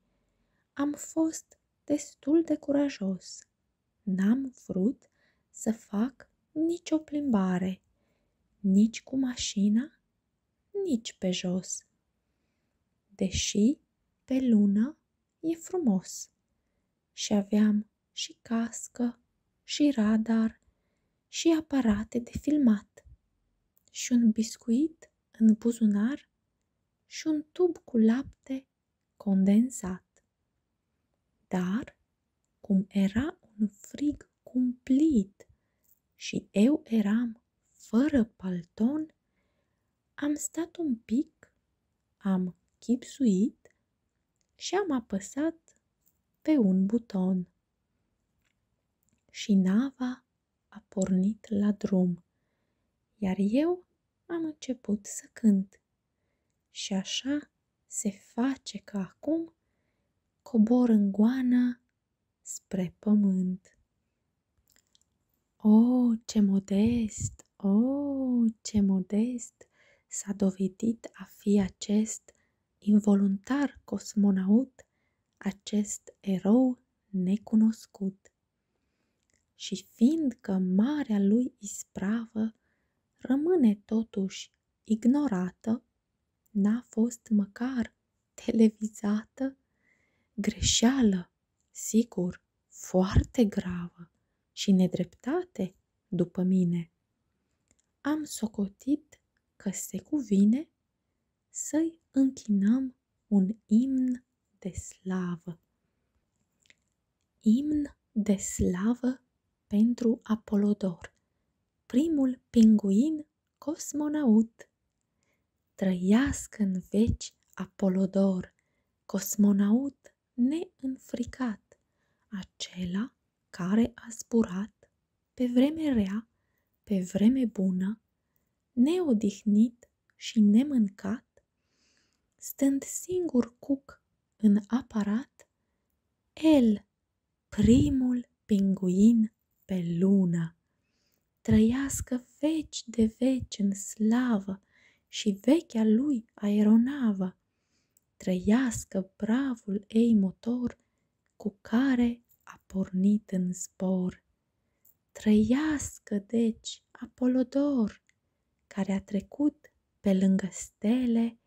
am fost destul de curajos. N-am vrut să fac nicio plimbare, nici cu mașina, nici pe jos. Deși pe lună e frumos și aveam și cască și radar și aparate de filmat și un biscuit în buzunar și un tub cu lapte condensat. Dar, cum era un frig cumplit și eu eram fără palton, am stat un pic, am chipsuit și am apăsat pe un buton. Și nava a pornit la drum, iar eu am început să cânt. Și așa se face că acum cobor în goană spre pământ. O, oh, ce modest, o, oh, ce modest s-a dovedit a fi acest involuntar cosmonaut, acest erou necunoscut. Și fiindcă marea lui ispravă rămâne totuși ignorată, n-a fost măcar televizată, greșeală, sigur, foarte gravă și nedreptate după mine. Am socotit că se cuvine să-i închinăm un imn de slavă. Imn de slavă pentru Apolodor, primul pinguin cosmonaut. Trăiască în veci Apolodor, cosmonaut neînfricat, acela care a zburat pe vreme rea, pe vreme bună, neodihnit și nemâncat, stând singur cuc în aparat, el, primul pinguin pe lună, trăiască veci de veci în slavă și vechea lui aeronavă, trăiască bravul ei motor cu care a pornit în zbor. Trăiască, deci, Apolodor, care a trecut pe lângă stele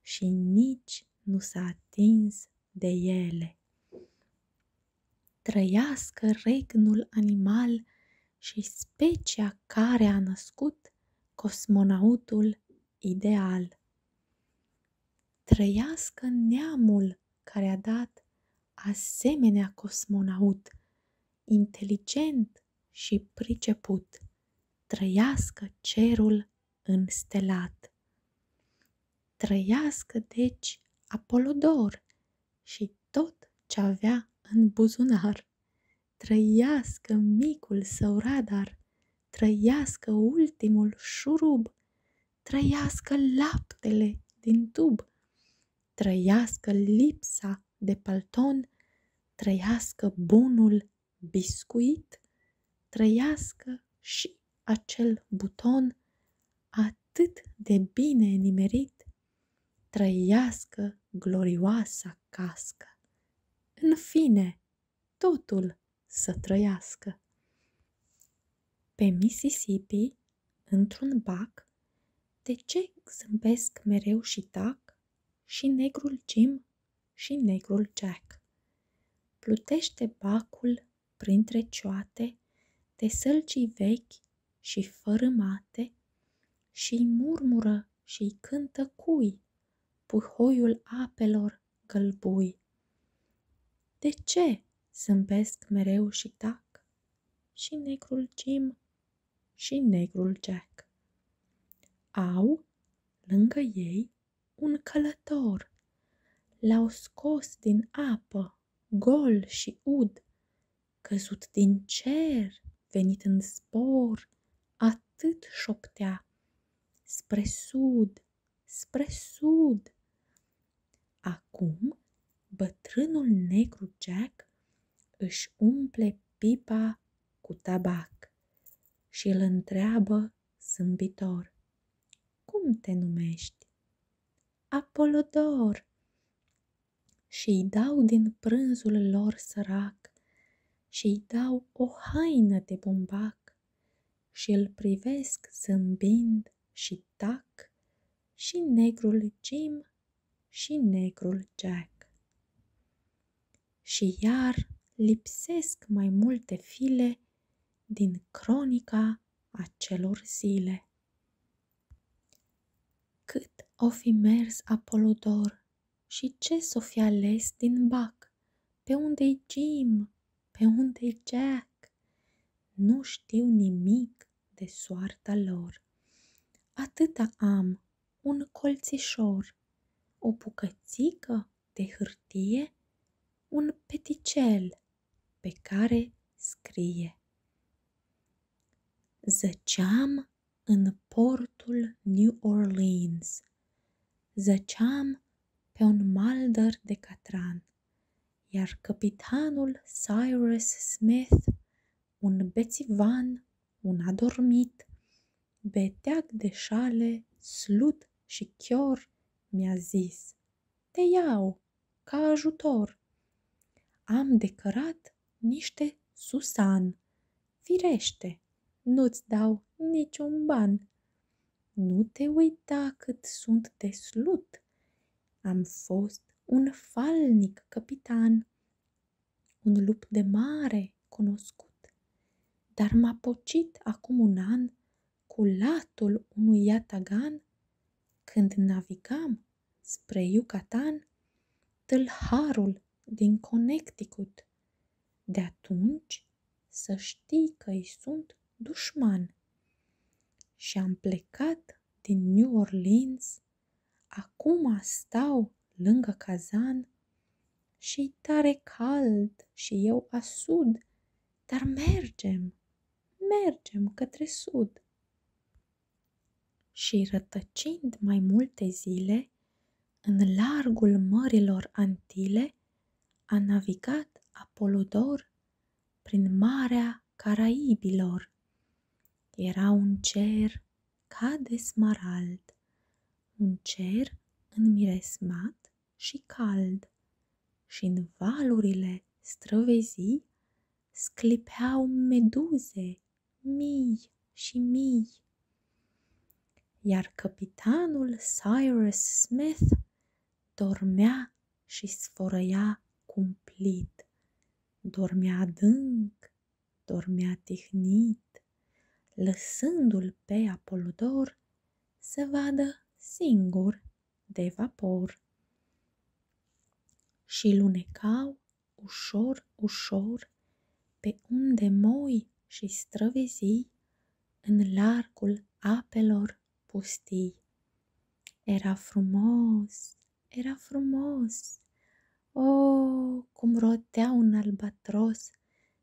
și nici nu s-a atins de ele. Trăiască regnul animal și specia care a născut cosmonautul ideal. Trăiască neamul care a dat asemenea cosmonaut, inteligent și priceput, trăiască cerul înstelat. Trăiască, deci, Apolodor și tot ce avea în buzunar. Trăiască micul său radar, trăiască ultimul șurub, trăiască laptele din tub, trăiască lipsa de palton, trăiască bunul biscuit, trăiască și acel buton atât de bine nimerit, trăiască glorioasa cască. În fine, totul să trăiască. Pe Mississippi, într-un bac, de ce zâmbesc mereu și tac și negrul Jim și negrul Jack? Plutește bacul printre cioate de sălcii vechi și fără mate, și-i murmură și-i cântă cui, puhoiul apelor gălbui. De ce zâmbesc mereu și tac și negrul Jim și negrul Jack? Au lângă ei un călător. L-au scos din apă, gol și ud, căzut din cer, venit în spor atât șoptea, spre sud, spre sud. Acum, bătrânul negru Jack își umple pipa cu tabac și îl întreabă zâmbitor. Cum te numești? Apolodor! Și-i dau din prânzul lor sărac și-i dau o haină de bumbac și îl privesc zâmbind și Tac și negrul Jim și negrul Jack. Și iar lipsesc mai multe file din cronica acelor zile. Cât o fi mers Apolodor și ce s-o fi ales din bac, pe unde-i Jim, pe unde-i Jack? Nu știu nimic de soarta lor. Atâta am, un colțișor, o bucățică de hârtie, un peticel pe care scrie. Zăceam în portul New Orleans. Zăceam pe un mal de catran iar capitanul Cyrus Smith, un bețivan, un adormit, beteag de șale, slut și chior, mi-a zis, te iau ca ajutor. Am decărat niște susan, firește, nu-ți dau niciun ban. Nu te uita cât sunt de slut. Am fost un falnic capitan, un lup de mare cunoscut, dar m-a pocit acum un an cu latul unui iatagan, când navigam spre Yucatan, tâlharul din Connecticut. De atunci să știi că-i sunt dușman și am plecat din New Orleans, acum stau lângă cazan și e tare cald și eu asud, dar mergem, mergem către sud. Și rătăcind mai multe zile, în largul mărilor antile, a navigat Apolodor prin marea Caraibilor. Era un cer ca de smarald, un cer înmiresmat și cald, și în valurile străvezii sclipeau meduze mii și mii. Iar capitanul Cyrus Smith dormea și sfărăia cumplit. Dormea adânc, dormea tihnit, lăsându-l pe Apolodor să vadă singur de vapor. Și lunecau ușor, ușor, pe unde moi și străvezii în largul apelor lor pustii. Era frumos, era frumos. O, oh, cum rotea un albatros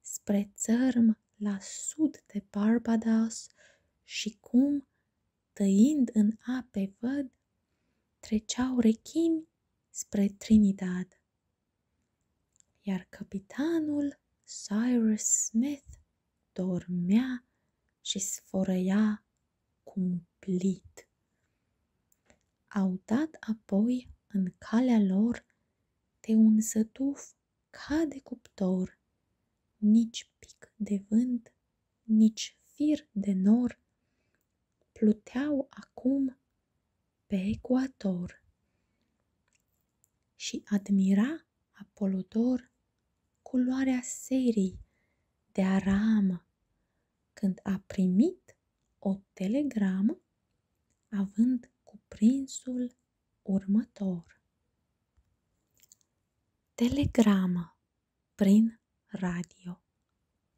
spre țărm la sud de Barbados și cum, tăind în ape văd, treceau rechini spre Trinidad. Iar capitanul Cyrus Smith dormea și sfărăia cumplit. Au dat apoi în calea lor de un sătuf ca de cuptor, nici pic de vânt, nici fir de nor, pluteau acum pe ecuator. Și admira avea Apolodor culoarea serii de aramă când a primit o telegramă având cuprinsul următor. Telegramă prin radio.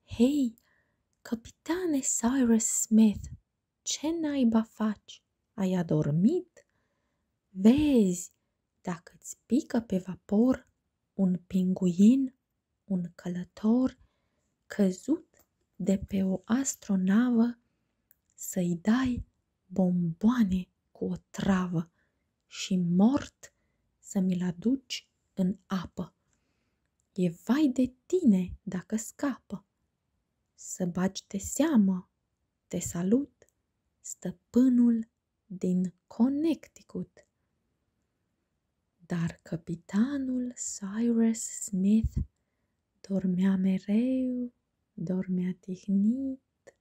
Hei, capitane Cyrus Smith, ce naiba faci? Ai adormit? Vezi, dacă îți pică pe vapor un pinguin, un călător căzut de pe o astronavă, să-i dai bomboane cu o travă și mort să mi-l aduci în apă. E vai de tine dacă scapă. Să bagi de seamă, te salut, stăpânul din Connecticut. Dar capitanul Cyrus Smith dormea mereu, dormea tihnit,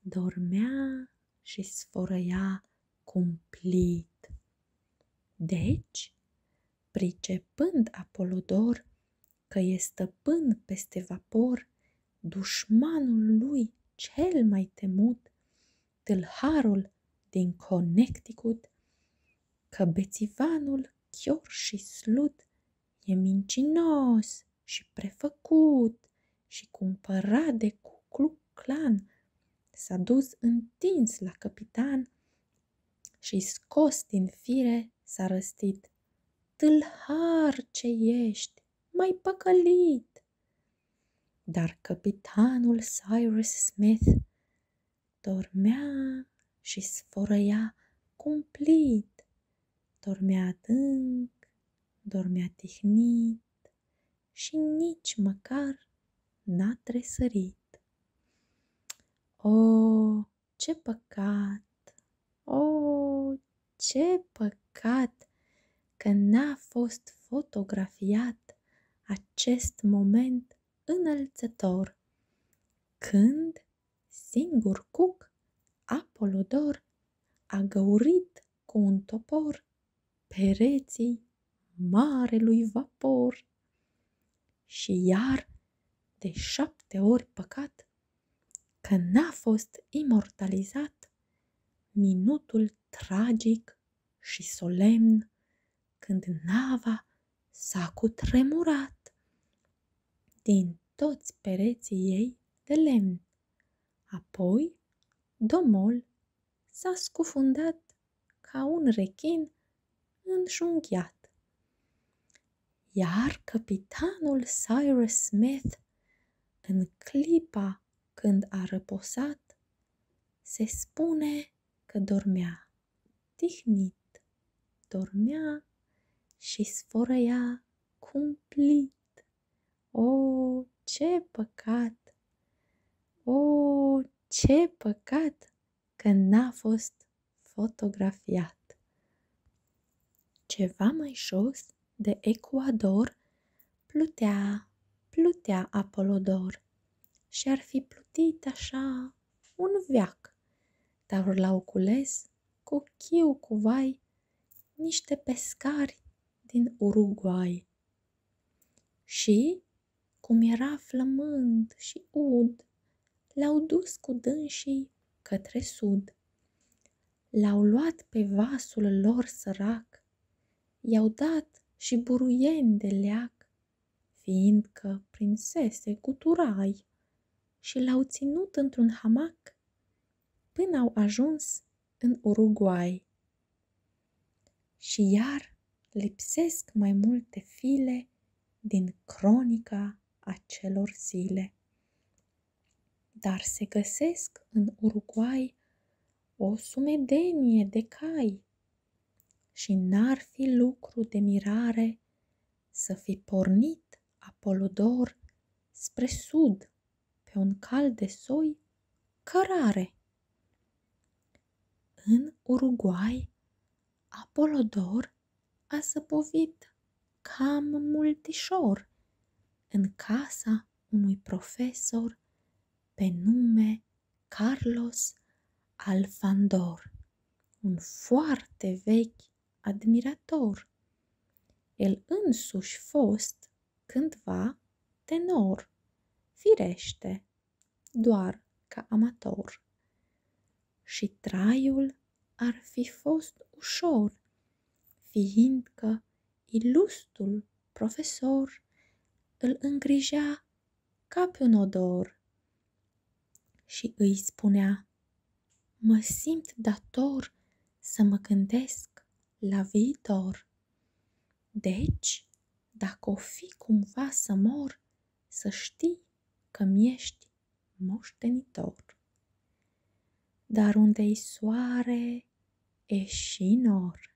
dormea și sfărăia cumplit. Deci, pricepând Apolodor că e stăpân peste vapor dușmanul lui cel mai temut, tâlharul din Connecticut, că bețivanul chior și slut e mincinos și prefăcut și cumpărat de Cuclu Clan, s-a dus întins la capitan și scos din fire s-a răstit. Tâlhar ce ești, mai păcălit! Dar capitanul Cyrus Smith dormea și sfărăia cumplit, dormea adânc, dormea tihnit și nici măcar n-a tresărit. O, oh, ce păcat! O, oh, ce păcat că n-a fost fotografiat acest moment înălțător, când singur cuc Apolodor a găurit cu un topor pereții marelui vapor. Și iar de șapte ori păcat că n-a fost imortalizat minutul tragic și solemn când nava s-a cutremurat din toți pereții ei de lemn. Apoi, domol s-a scufundat ca un rechin înjunghiat. Iar capitanul Cyrus Smith, în clipa când a răposat, se spune că dormea tihnit, dormea și sfărăia cumplit. O, ce păcat! O, ce păcat că n-a fost fotografiat! Ceva mai jos, de Ecuador, plutea, plutea Apolodor și ar fi plutit așa un veac, dar urlau cules cu chiu cu vai niște pescari din Uruguay. Și, cum era flămând și ud, l-au dus cu dânsii către sud. L-au luat pe vasul lor sărac, I-au dat și buruien de leac, Fiindcă prinsese guturai, Și l-au ținut într-un hamac Până au ajuns în Uruguay. Și iar lipsesc mai multe file Din cronica acelor zile dar se găsesc în Uruguay o sumedenie de cai și n-ar fi lucru de mirare să fi pornit Apolodor spre sud pe un cal de soi cărare. În Uruguay, Apolodor a săpovit cam multișor în casa unui profesor pe nume Carlos Alfandor, un foarte vechi admirator. El însuși fost cândva tenor, firește, doar ca amator. Și traiul ar fi fost ușor, fiindcă Ilustul profesor îl îngrija ca pe un odor și îi spunea, mă simt dator să mă gândesc la viitor. Deci, dacă o fi cumva să mor, să știi că mi-ești moștenitor. Dar unde-i soare, e și nor.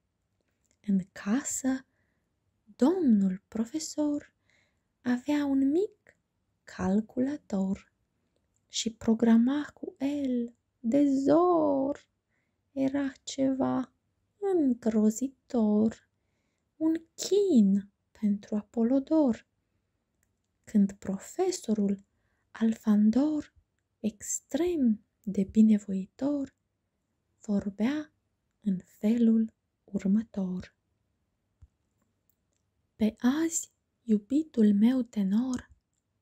În casă, domnul profesor avea un mic calculator și programa cu el de zor. Era ceva îngrozitor, un chin pentru Apolodor. Când profesorul Alfandor, extrem de binevoitor, vorbea în felul următor. Pe azi, iubitul meu tenor,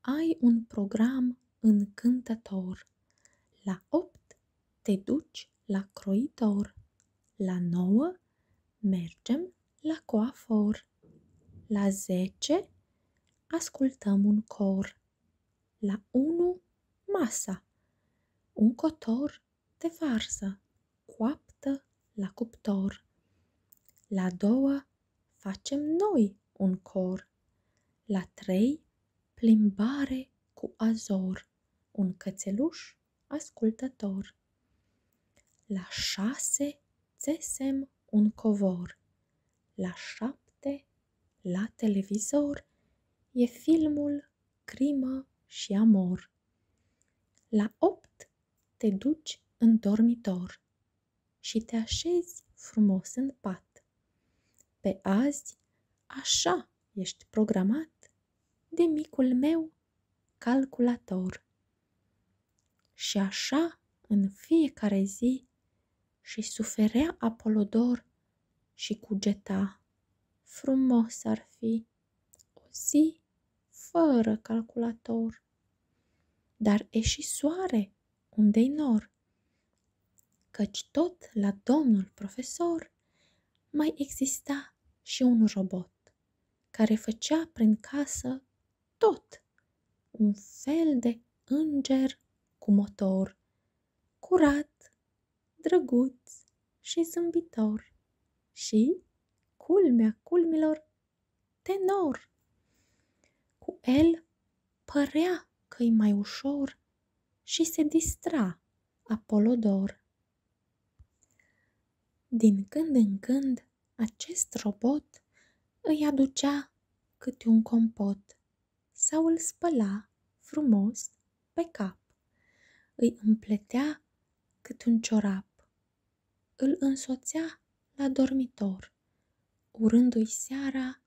ai un program încântător. La opt te duci la croitor, la nouă mergem la coafor, la zece ascultăm un cor, la unu Masa. Un cotor de varză coaptă la cuptor. La 2. Facem noi un cor. La trei Plimbare cu azor. Un cățeluș ascultător. La 6. Țesem un covor. La 7. La televizor e filmul Crimă și amor. La opt te duci în dormitor și te așezi frumos în pat. Pe azi așa ești programat de micul meu calculator. Și așa în fiecare zi și suferea Apolodor și cugeta. Frumos ar fi o zi fără calculator. Dar e și soare, unde-i nor? Căci tot la domnul profesor mai exista și un robot care făcea prin casă tot un fel de înger cu motor curat, drăguț și zâmbitor și, culmea culmilor, tenor. Cu el părea că-i mai ușor și se distra Apolodor. Din când în când, acest robot îi aducea câte un compot sau îl spăla frumos pe cap. Îi împletea cât un ciorap, îl însoțea la dormitor, urându-i seara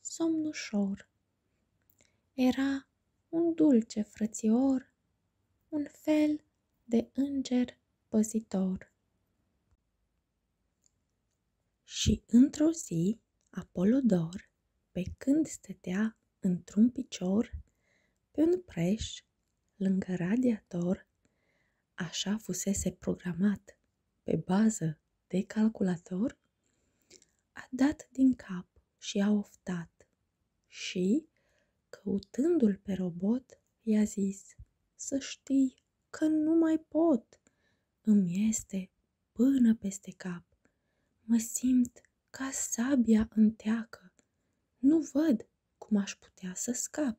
somnușor. Era un dulce frățior, un fel de înger păzitor. Și într-o zi, Apolodor, pe când stătea într-un picior, pe un preș, lângă radiator, așa fusese programat, pe bază de calculator, a dat din cap și a oftat și, căutându-l pe robot, i-a zis, să știi că nu mai pot, îmi este până peste cap. Mă simt ca sabia înteacă. Nu văd cum aș putea să scap.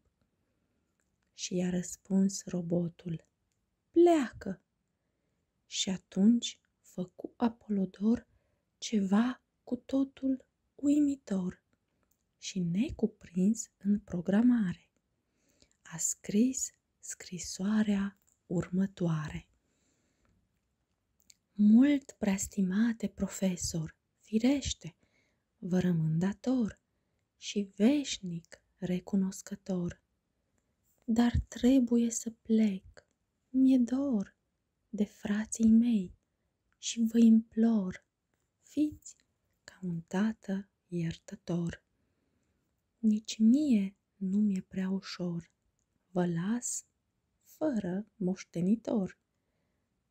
Și i-a răspuns robotul, pleacă. Și atunci făcu Apolodor ceva cu totul uimitor și necuprins în programare. A scris scrisoarea următoare. Mult preastimate profesor, firește, vă rămân dator și veșnic recunoscător. Dar trebuie să plec, mi-e dor de frații mei și vă implor, fiți ca un tată iertător. Nici mie nu mi-e prea ușor, vă las fără moștenitor.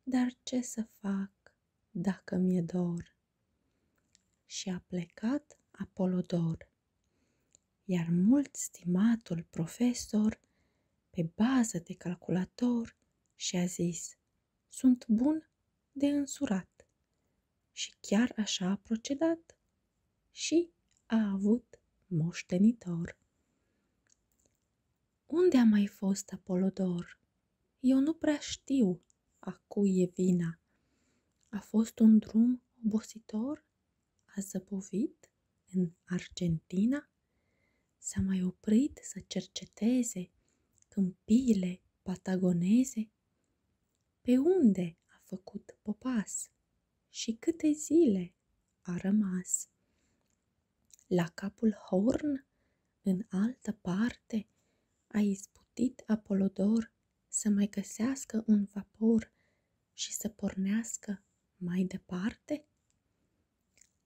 Dar ce să fac dacă mi-e dor? Și a plecat Apolodor, iar mult stimatul profesor, pe bază de calculator, și-a zis, sunt bun de însurat. Și chiar așa a procedat și a avut moștenitor. Unde a mai fost Apolodor? Eu nu prea știu a cui e vina. A fost un drum obositor? A zăbovit în Argentina? S-a mai oprit să cerceteze câmpiile patagoneze? Pe unde a făcut popas și câte zile a rămas? La capul Horn, în altă parte, a izbutit Apolodor să mai găsească un vapor și să pornească mai departe?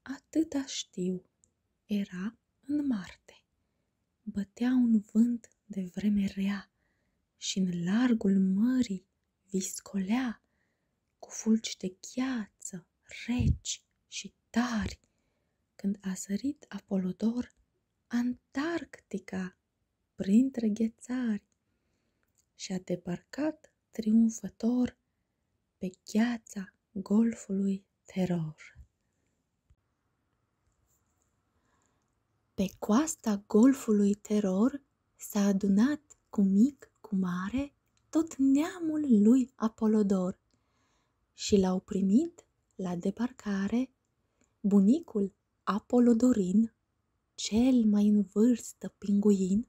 Atâta știu, era în Marte. Bătea un vânt de vreme rea și în largul mării viscolea cu fulgi de gheață reci și tari, când a sărit Apolodor Antarctica printre ghețari și a debarcat triumfător pe gheața golfului teror. Pe coasta golfului teror s-a adunat cu mic, cu mare, tot neamul lui Apolodor și l-au primit la debarcare bunicul Apolodorin, cel mai în vârstă pinguin,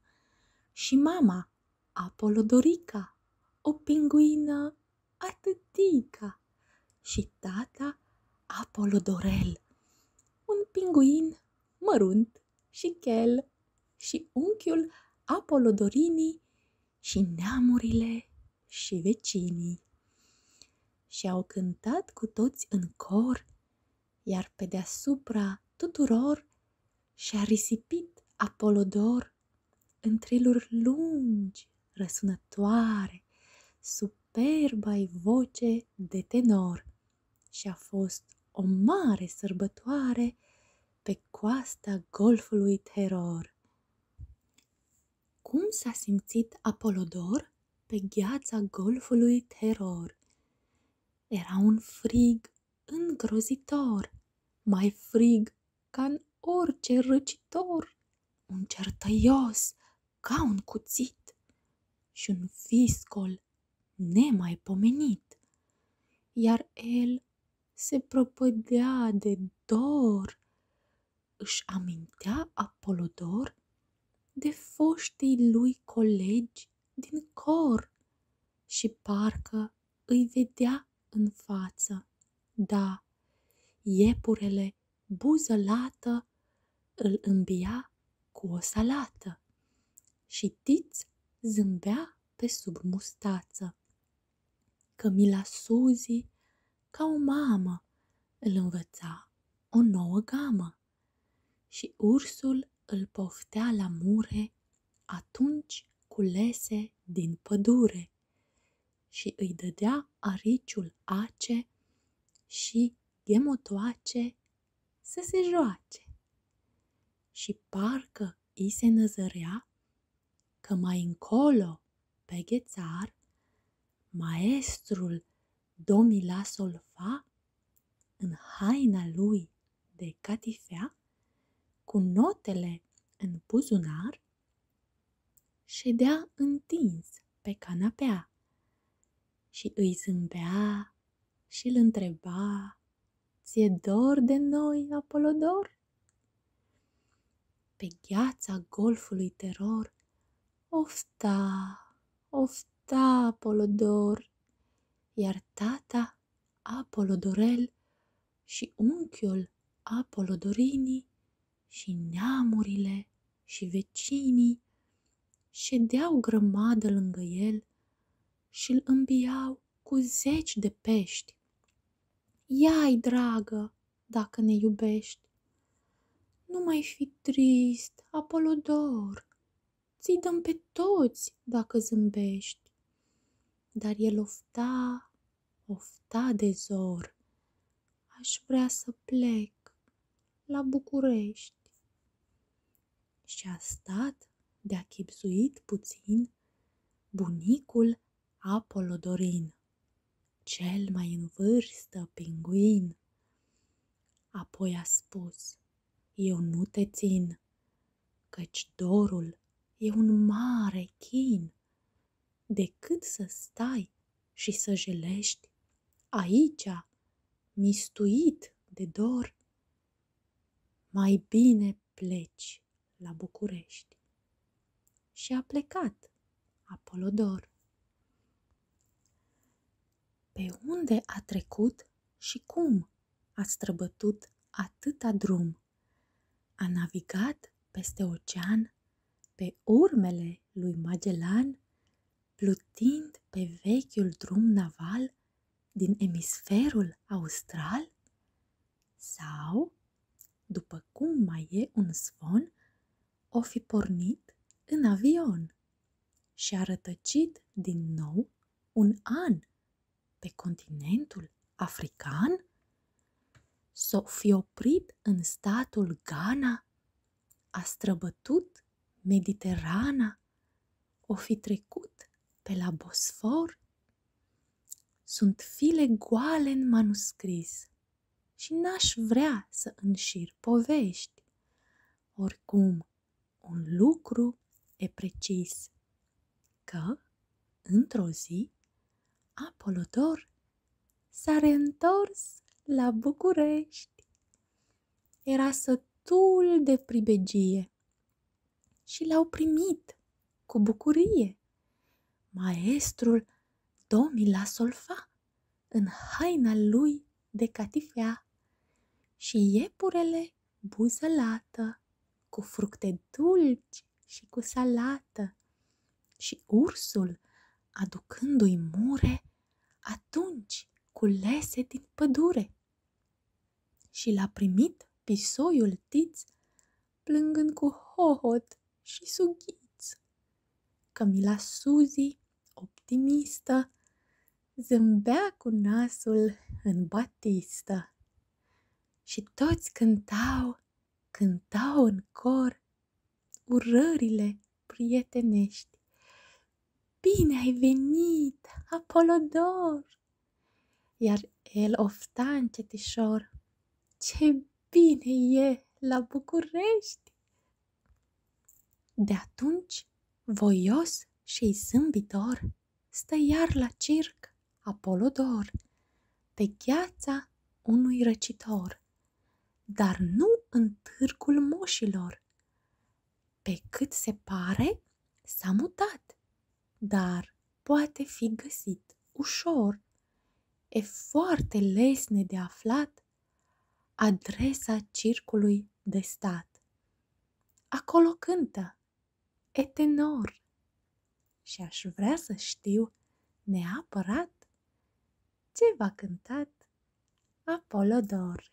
și mama Apolodorica, o pinguină atâtica, și tata Apolodorel, un pinguin Mărunt și Chel și unchiul Apolodorinii și neamurile și vecinii. Și au cântat cu toți în cor, iar pe deasupra tuturor și-a risipit Apolodor în triluri lungi, răsunătoare, superba voce de tenor și a fost o mare sărbătoare pe coasta golfului Teror. Cum s-a simțit Apolodor pe gheața golfului Teror? Era un frig îngrozitor, mai frig ca în orice răcitor, un cer ca un cuțit și un viscol nemaipomenit, iar el se propădea de dor, își amintea Apolodor de foștii lui colegi din cor și parcă îi vedea în față, da, iepurele buzălată masă, îl îmbia cu o salată și Tiț zâmbea pe sub mustață. Cămila Suzi, ca o mamă, îl învăța o nouă gamă și ursul îl poftea la mure atunci culese din pădure și îi dădea ariciul ace și ghemotoace să se joace. Și parcă îi se năzărea că mai încolo, pe ghețar, maestrul domila solfa în haina lui de catifea, cu notele în buzunar, ședea întins pe canapea și îi zâmbea și îl întreba, Ție dor de noi, Apolodor? Pe gheața golfului teror, ofta, ofta, Apolodor, iar tata Apolodorel și unchiul Apolodorinii și neamurile și vecinii ședeau grămadă lângă el și îl îmbiau cu zeci de pești. Ia-i, dragă, dacă ne iubești! Nu mai fi trist, Apolodor! Ți-i dăm pe toți dacă zâmbești! Dar el ofta, ofta de zor. Aș vrea să plec la București și a stat de-a chipzuit puțin bunicul Apolodorin, cel mai în vârstă pinguin. Apoi a spus, eu nu te țin, căci dorul e un mare chin. Decât să stai și să jelești aici, mistuit de dor, mai bine pleci la București. Și a plecat Apolodor. Pe unde a trecut și cum a străbătut atâta drum? A navigat peste ocean, pe urmele lui Magellan, plutind pe vechiul drum naval din emisferul austral? Sau, după cum mai e un zvon, o fi pornit în avion și a rătăcit din nou un an pe continentul african? S-o fi oprit în statul Ghana? A străbătut Mediterana? O fi trecut pe la Bosfor? Sunt file goale în manuscris și n-aș vrea să înșir povești. Oricum, un lucru e precis, că, într-o zi, Apolodor s-a reîntors la București era sătul de pribegie și l-au primit cu bucurie. Maestrul domi la solfa în haina lui de catifea și iepurele buzălată cu fructe dulci și cu salată și ursul aducându-i mure atunci lese din pădure și l-a primit pisoiul tiț, plângând cu hohot și sughiț. Camila Suzi, optimistă, zâmbea cu nasul în batistă. Și toți cântau, cântau în cor urările prietenești Bine ai venit, Apolodor! Iar el ofta încetișor, Ce bine e la București! De atunci, voios și zâmbitor, Stă iar la circ Apolodor, Pe gheața unui răcitor, Dar nu în târgul moșilor, Pe cât se pare, S-a mutat, dar poate fi găsit ușor. E foarte lesne de aflat adresa circului de stat. Acolo cântă, e tenor. Și aș vrea să știu neapărat ce va cântat Apolodor.